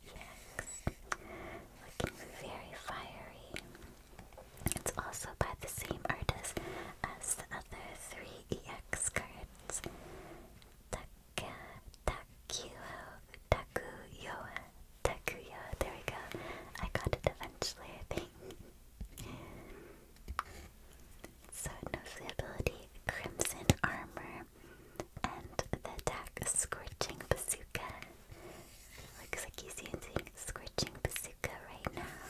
Looking very fiery. It's also by the same artist as the other three EX cards. Takuyo, Takuyo, Takuyo. There we go. I got it eventually, I think. so, no ability, Crimson Armor, and the attack Scorching Bazooka. Looks like he's using Scorching Bazooka right now.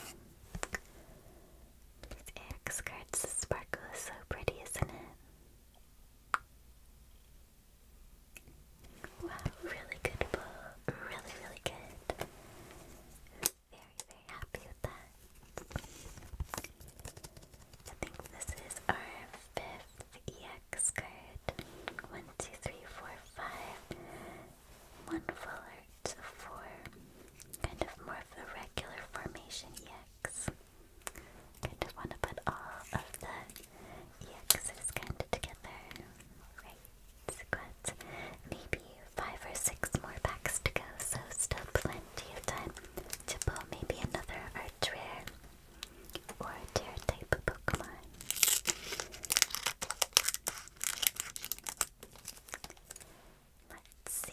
These AX cards sparkle is so pretty, isn't it? Wow, really good pull. Really, really good. Very, very happy with that. I think this is our fifth EX card. One, two, three, four, five. One full art, four. Kind of more of a regular formation EX. I just want to put all of the EXs kind of together. Right, got maybe five or six more packs to go, so still plenty of time to pull maybe another arch rare or tear type Pokemon. Let's see.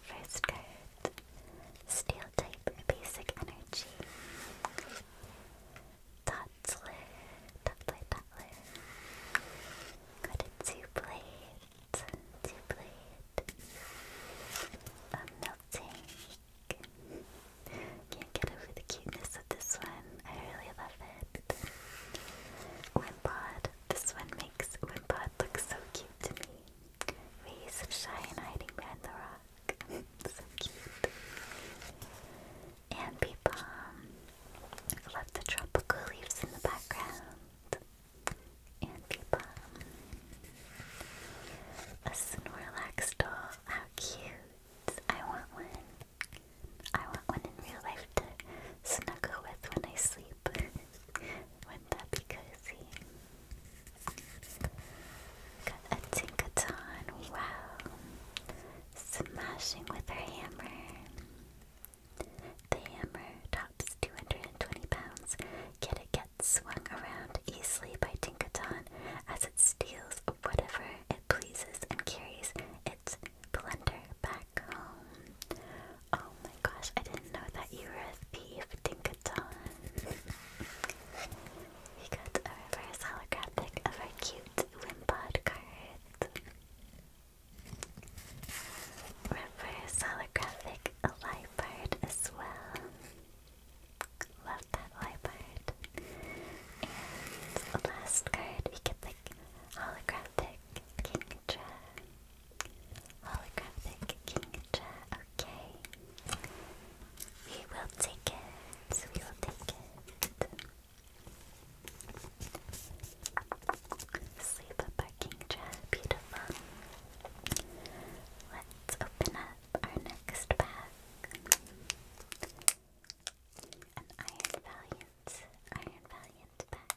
first card, Steel type basic energy. Toddler, Toddler, Toddler. Got a two blade, two blade. A melting. Can't get over the cuteness of this one. I really love it. Wimpod, this one makes Wimpod look so cute to me. Ways of Shine hiding behind the rock. so cute. And Peepom. Um, love the tropical leaves in the background. And Peepom. Um, a Snorlax doll. How cute. I want one. I want one in real life to snuggle with when I sleep. would that be cozy? Got a Tinkaton, wow. Smashing with her hammer. The hammer tops 220 pounds, yet it gets swung around easily by Tinkaton as it steals whatever it pleases and carries it blender back home. Oh my gosh, I didn't know that you were a thief, Dinkaton. we got a reverse holographic of our cute Wimpod card. Reverse holographic Lipard as well. Love that Lipard. And last card, we get the holographic Kingdra. Holographic Kingdra, okay. We will take it, we will take it. Sleep up our beautiful. Let's open up our next pack. An Iron Valiant, Iron Valiant pack.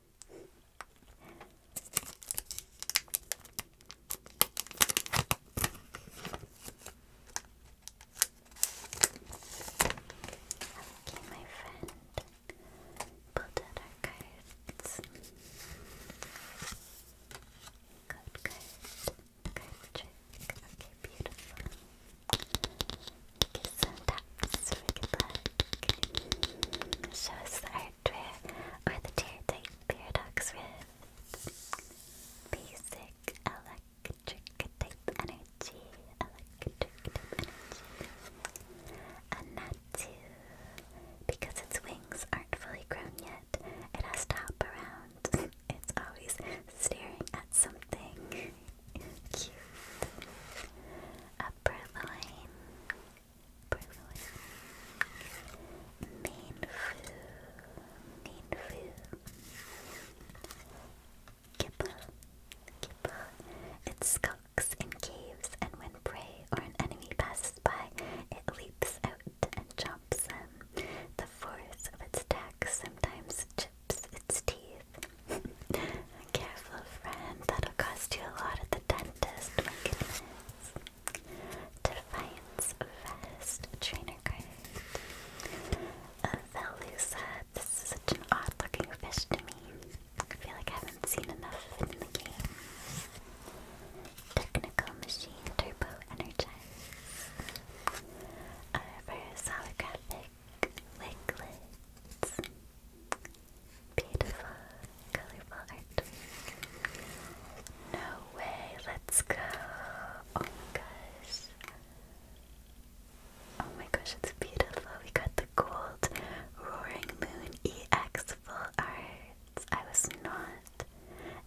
Okay, my friend. Pulled out our cards. Okay, beautiful. Give good luck. Show us or the teardite paradox rift. Basic electric energy. Electric energy. And not to because its wings aren't fully grown yet, it has to hop around. it's always staring at something. Cute. Upper line. Perfect. Main food. Main food. It skulks in caves, and when prey or an enemy passes by, it leaps out and chomps them. The force of its attacks sometimes chips its teeth. Careful, friend. That'll cost you a lot at the dentist. My goodness. Defiance Vest Trainer card. Uh, Velusa, this is such an odd looking fish to me. I feel like I haven't seen enough in the game. Technical Machine Turbo Energize. Uh, for holographic liquids. Beautiful, colorful No way, let's go. Oh my gosh. Oh my gosh, it's beautiful. We got the gold roaring moon EX I was not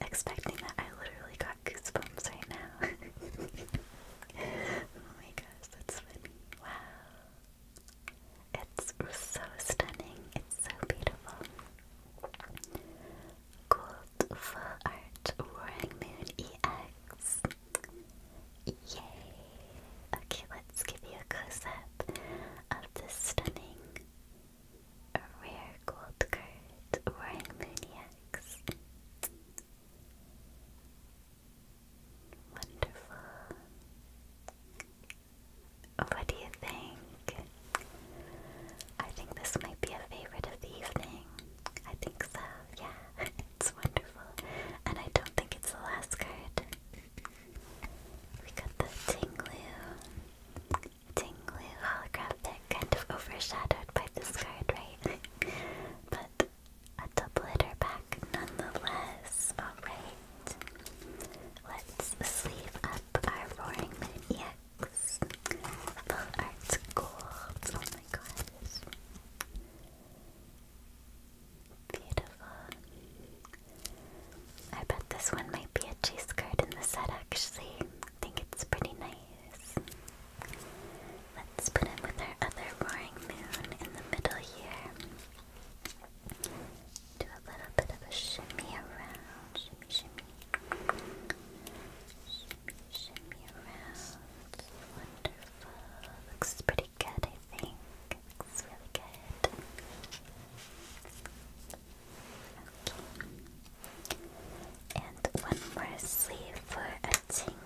expecting that. I literally got goosebumps right now. oh my gosh, that's funny. Wow. It's so stunning, it's so beautiful. Gold Full Art Roaring Moon EX. Yay! Okay, let's give you a close up of this stunning rare gold card Roaring Moon EX. Wonderful. What do you think? I think this might be a favorite of the evening. I think so, yeah. it's wonderful. And I don't think it's the last card. We got the Tinglu. Tinglu holographic, kind of overshadowed by this card, right? but a double hitter back nonetheless. Alright. Let's sleeve up our Roaring Moon EX. Full Arts Gold. Oh my gosh. Beautiful. I bet this one might be a chase card in the set actually. I think it's pretty nice. Let's put him with our other Roaring Moon in the middle here. Do a little bit of a shimmy around, shimmy, shimmy. Shimmy, shimmy around. Wonderful. Looks pretty good, I think. Looks really good. Okay. And one more sleeve for a tingloo.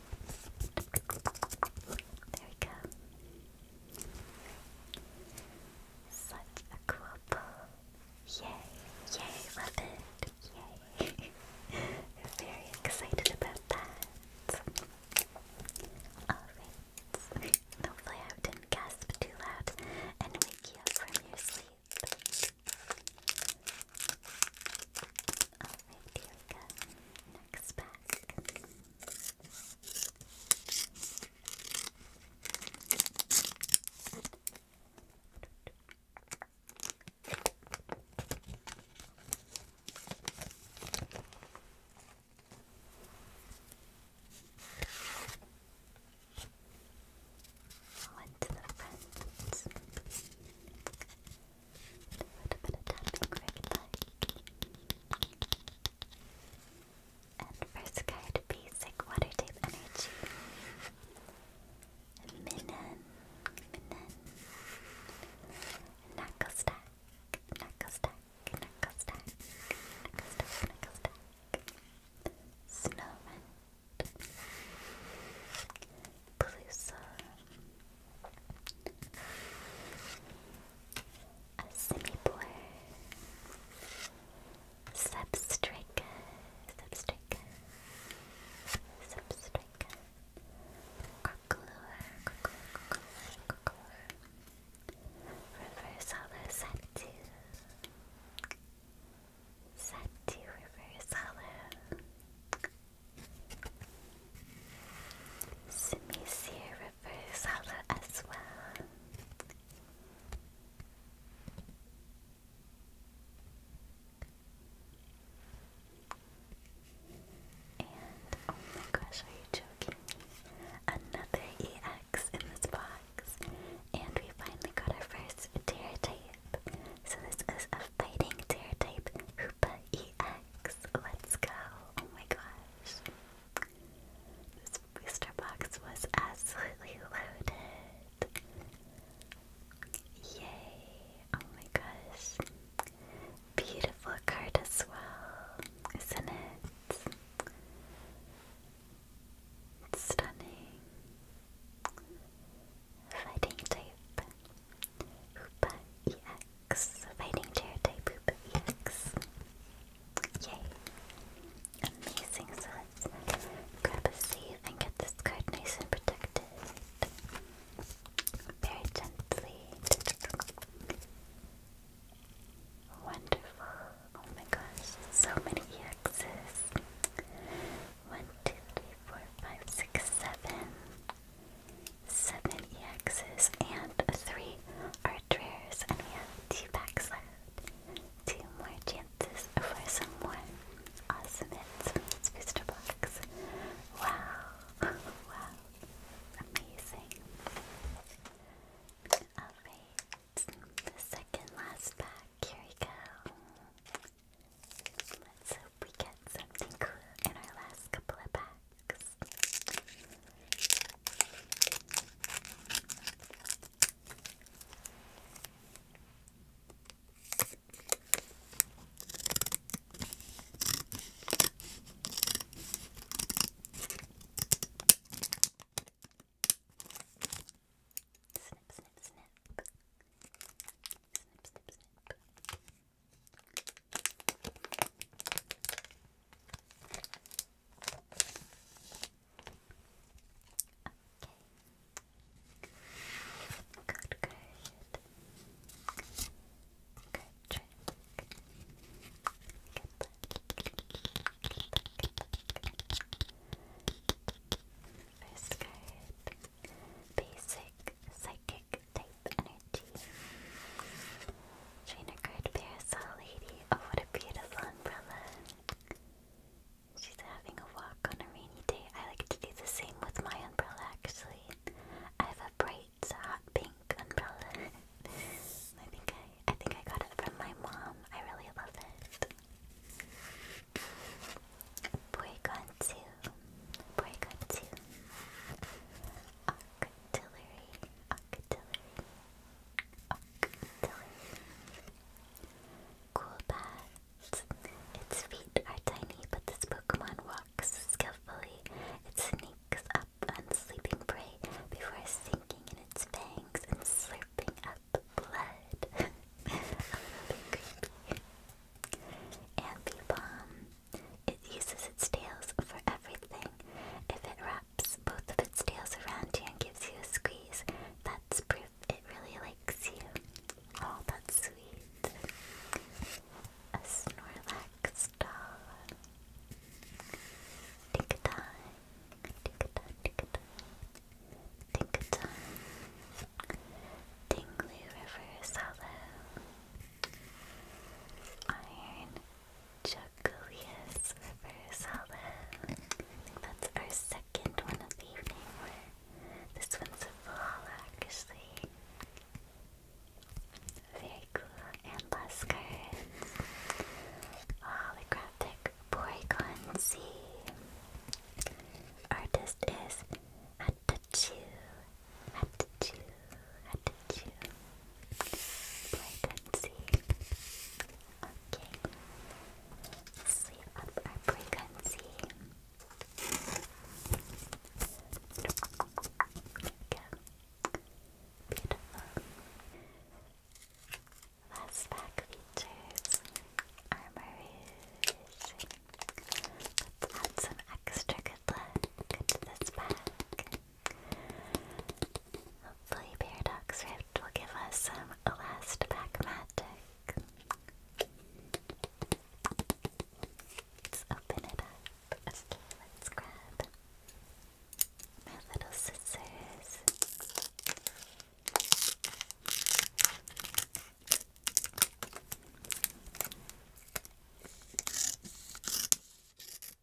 There we go. Such a cool Yay, yay, love it. Yay. Very excited about that. Alright. Hopefully I didn't gasp too loud and wake you from your sleep. Alright, here we go next pack. to the front a bit of tapping like. water type energy. Minnan, Minnan, Knuckle Stack, Knuckle Stack, Stack, Stack, Snowman, blusa. A Simipour. Substrika. Substrika. Substrika. Crocolor. Crocolor. Crocolor. Reverse hollow Satu. Satu Samisir as well. oh my gosh, are you joking Another EX in this box. And we finally got our first Terra type. So this is a fighting Terra type who Koopa EX. Let's go. Oh my gosh. This booster box was absolutely loaded. Yay. Oh my gosh. Beautiful card as well, isn't it? Stunning. Fighting type. Hoopa EX. Fighting chair type EX. Yay. Amazing. So grab a sleeve and get this card nice and protected. Very gently. Wonderful. Oh my gosh, so many EXs. One, two, three, four, five, six, seven seven exes and three art rares, and we have two packs left. Two more chances for someone more awesome hits from this booster box. Wow, wow, amazing. Alright, the second last pack, here we go we get something cool in our last couple of packs. Snip, snip, snip. Snip, snip, snip. Good, good. Good, check. First card. Basic Psychic type energy. Trainer card parasol lady. Oh, what a beautiful umbrella. She's having a walk on a rainy day. I like to do the same with my umbrella actually. I have a bright hot pink umbrella. I think I I think I got it from my mom. I really love it. Boy Gonsu. Boy Gonsu. Um Octillery, octillery, octillery. Cool pads. Its feet are tiny, but this Pokemon walks skillfully. It sneaks up on sleeping prey before sinking in its fangs and slurping up blood. A little creepy. Amphibomb. It uses its tails for everything. If it wraps both of its tails around you and gives you a squeeze, that's proof it really likes you. Oh, that's sweet. A Snorlax doll. Tinkatong. Tinkatong, tinkatong. Tinkatong. Dingley River Hollow. Iron Jacolius reverse hollow. I think that's our second one of the evening. This one's a full Very cool. And last card. Holographic Porygon Artist is Hatachu have to chew, have to chew. Frequency. Okay. Sweep Go. Beautiful. Last pack features Armor Let's add some extra good luck to this pack. Hopefully Paradox Rift will give us some last pack magic. Let's open it up. Okay, let's grab my little scissors.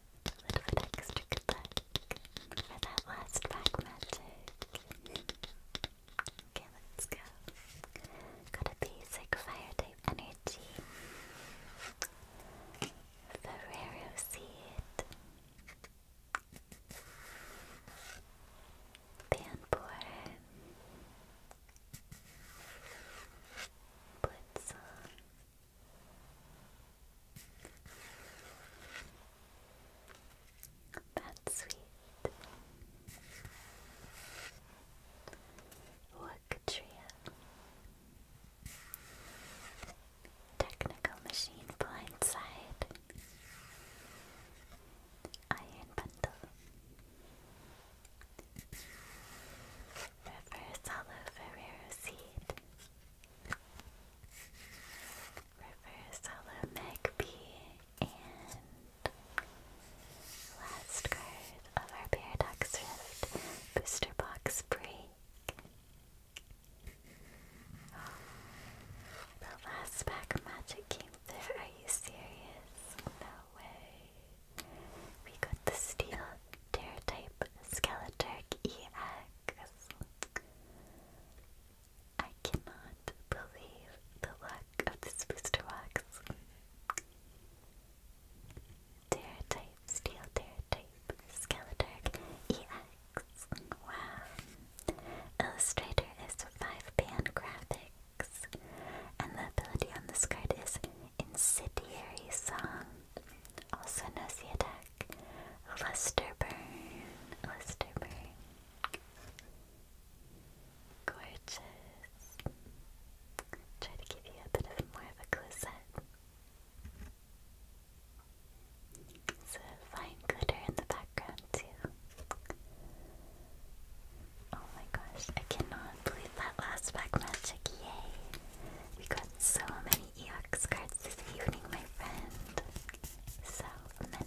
A little bit extra good luck for that last magic. okay, let's go. Got a basic fire type energy. Ferrero Seed. Banborn. Blitzel. That's sweet. Worktria. Technical machine blindside. Iron bundle. Reverse hollow Ferrero seed. Reverse Hollow Magpie, and last card of our Paradox Rift Booster Box Break. the last pack magic came through. Are you serious? No way. We got the Steel Terratype Skeleturk EX. I cannot believe the luck of this booster box. Terratype, Steel Terratype, Skeletorg EX. Wow. Illustrator is 5-band graphics. And the ability on this card is Incendiary Song, also Nosy Attack. Lusterburn, Lusterburn. Gorgeous. Try to give you a bit of more of a close It's a fine glitter in the background too. Oh my gosh, I cannot believe that last pack magic, yay! We got so many EX cards this evening, my friend. So many.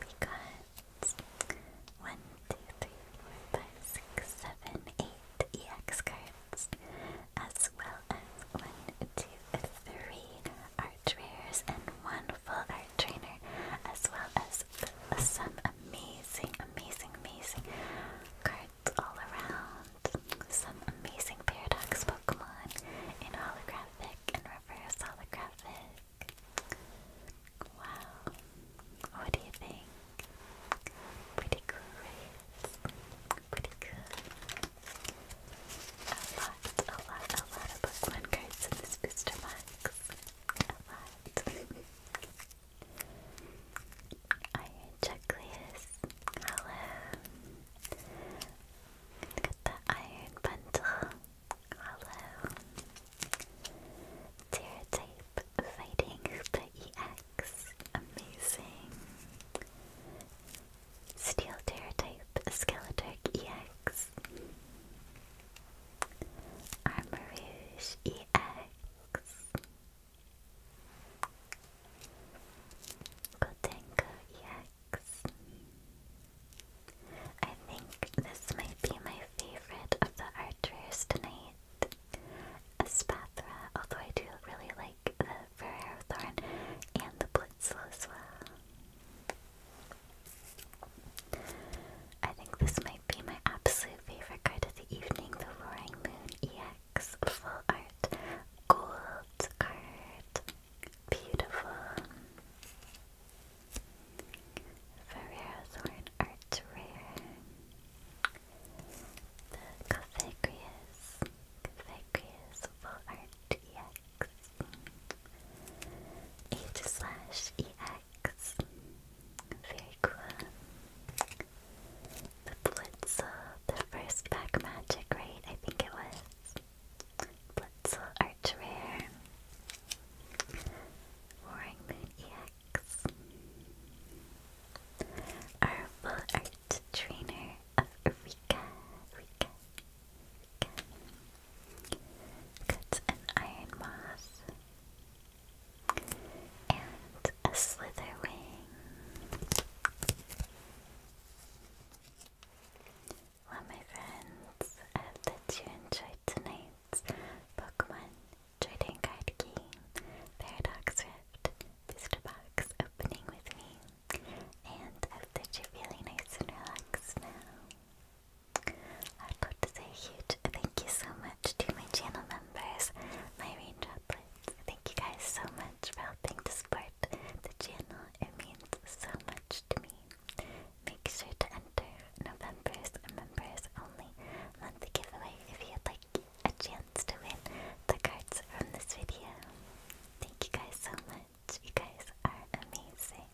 We got one, two, three, four, five, six, seven, eight EX cards, as well as one, two, three art rares and one full art trainer, as well as some amazing, amazing, amazing cards all around. Some amazing Paradox Pokemon in holographic and reverse holographic. Wow. What do you think? Pretty cool, right? Pretty cool. A lot, a lot, a lot of Pokemon cards in this booster box. A lot. Are you Chucklius? Hello. Look the iron bundle. Hello. Tear tape fighting the EX. Amazing. Steel tear tape Skeletork EX. Armor EX. Gotenko EX. I think this might be my favorite of the archers tonight. Espathra, although I do really like the Ferrero Thorn and the Blitzel as well. I think this might be my absolute favorite card of the evening, the Roaring Moon EX Full Art Gold card. Beautiful. Ferrero's Horn Art Rare. The Cathagrius. Cathagrius Full Art EX. H slash EX. Very cool the Blitz, the first pack magic, right? I think it was. Blitz Arch Rare. Roaring Moon EX. art trainer of Rika. Rika. Rika. Cut iron moss and a Slitherwing. Well, my friends, I hope that you enjoyed tonight's Pokemon Trading Card Game Paradox Booster Box opening with me, and I hope that you're feeling nice and relaxed now. I'd love to say a huge thank you so much to my channel members, my rain Thank you guys so much for helping to support the channel. It means so much to me. Make sure to enter November's members only month giveaway if you'd like a chance to win the cards from this video. Thank you guys so much. You guys are amazing.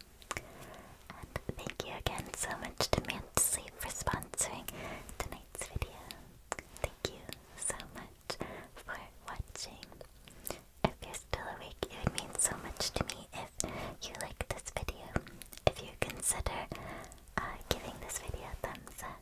And thank you again so much to Mansley for sponsoring tonight's video. Thank you so much for watching. If you're still awake, it would mean so much to me if you like this video. If you consider uh, giving this video a thumbs up,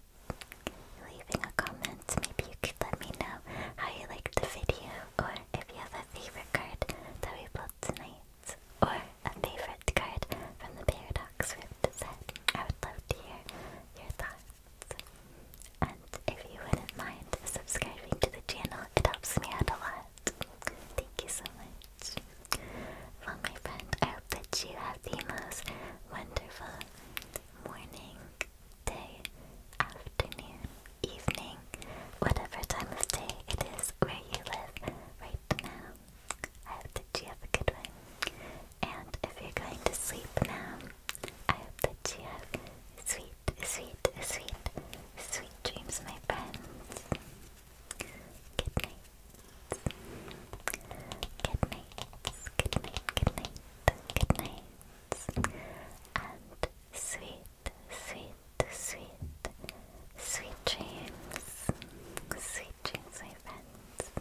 leaving a comment, maybe you could let me know how you liked the video, or if you have a favorite card that we pulled tonight, or a favorite card from the paradox. Foxswift said. I would love to hear your thoughts. And if you wouldn't mind subscribing to the channel, it helps me out a lot. Thank you so much. my friend, I hope that you have the most wonderful morning, day, afternoon, evening, whatever time of day it is where you live right now. I hope that you have a good one. And if you're going to sleep now, I hope that you have sweet, sweet, sweet, sweet dreams, my friends. Good night. Good night. Good night. Good night. Good night. And sweet, sweet, sweet, sweet dreams. Sweet dreams, my friends.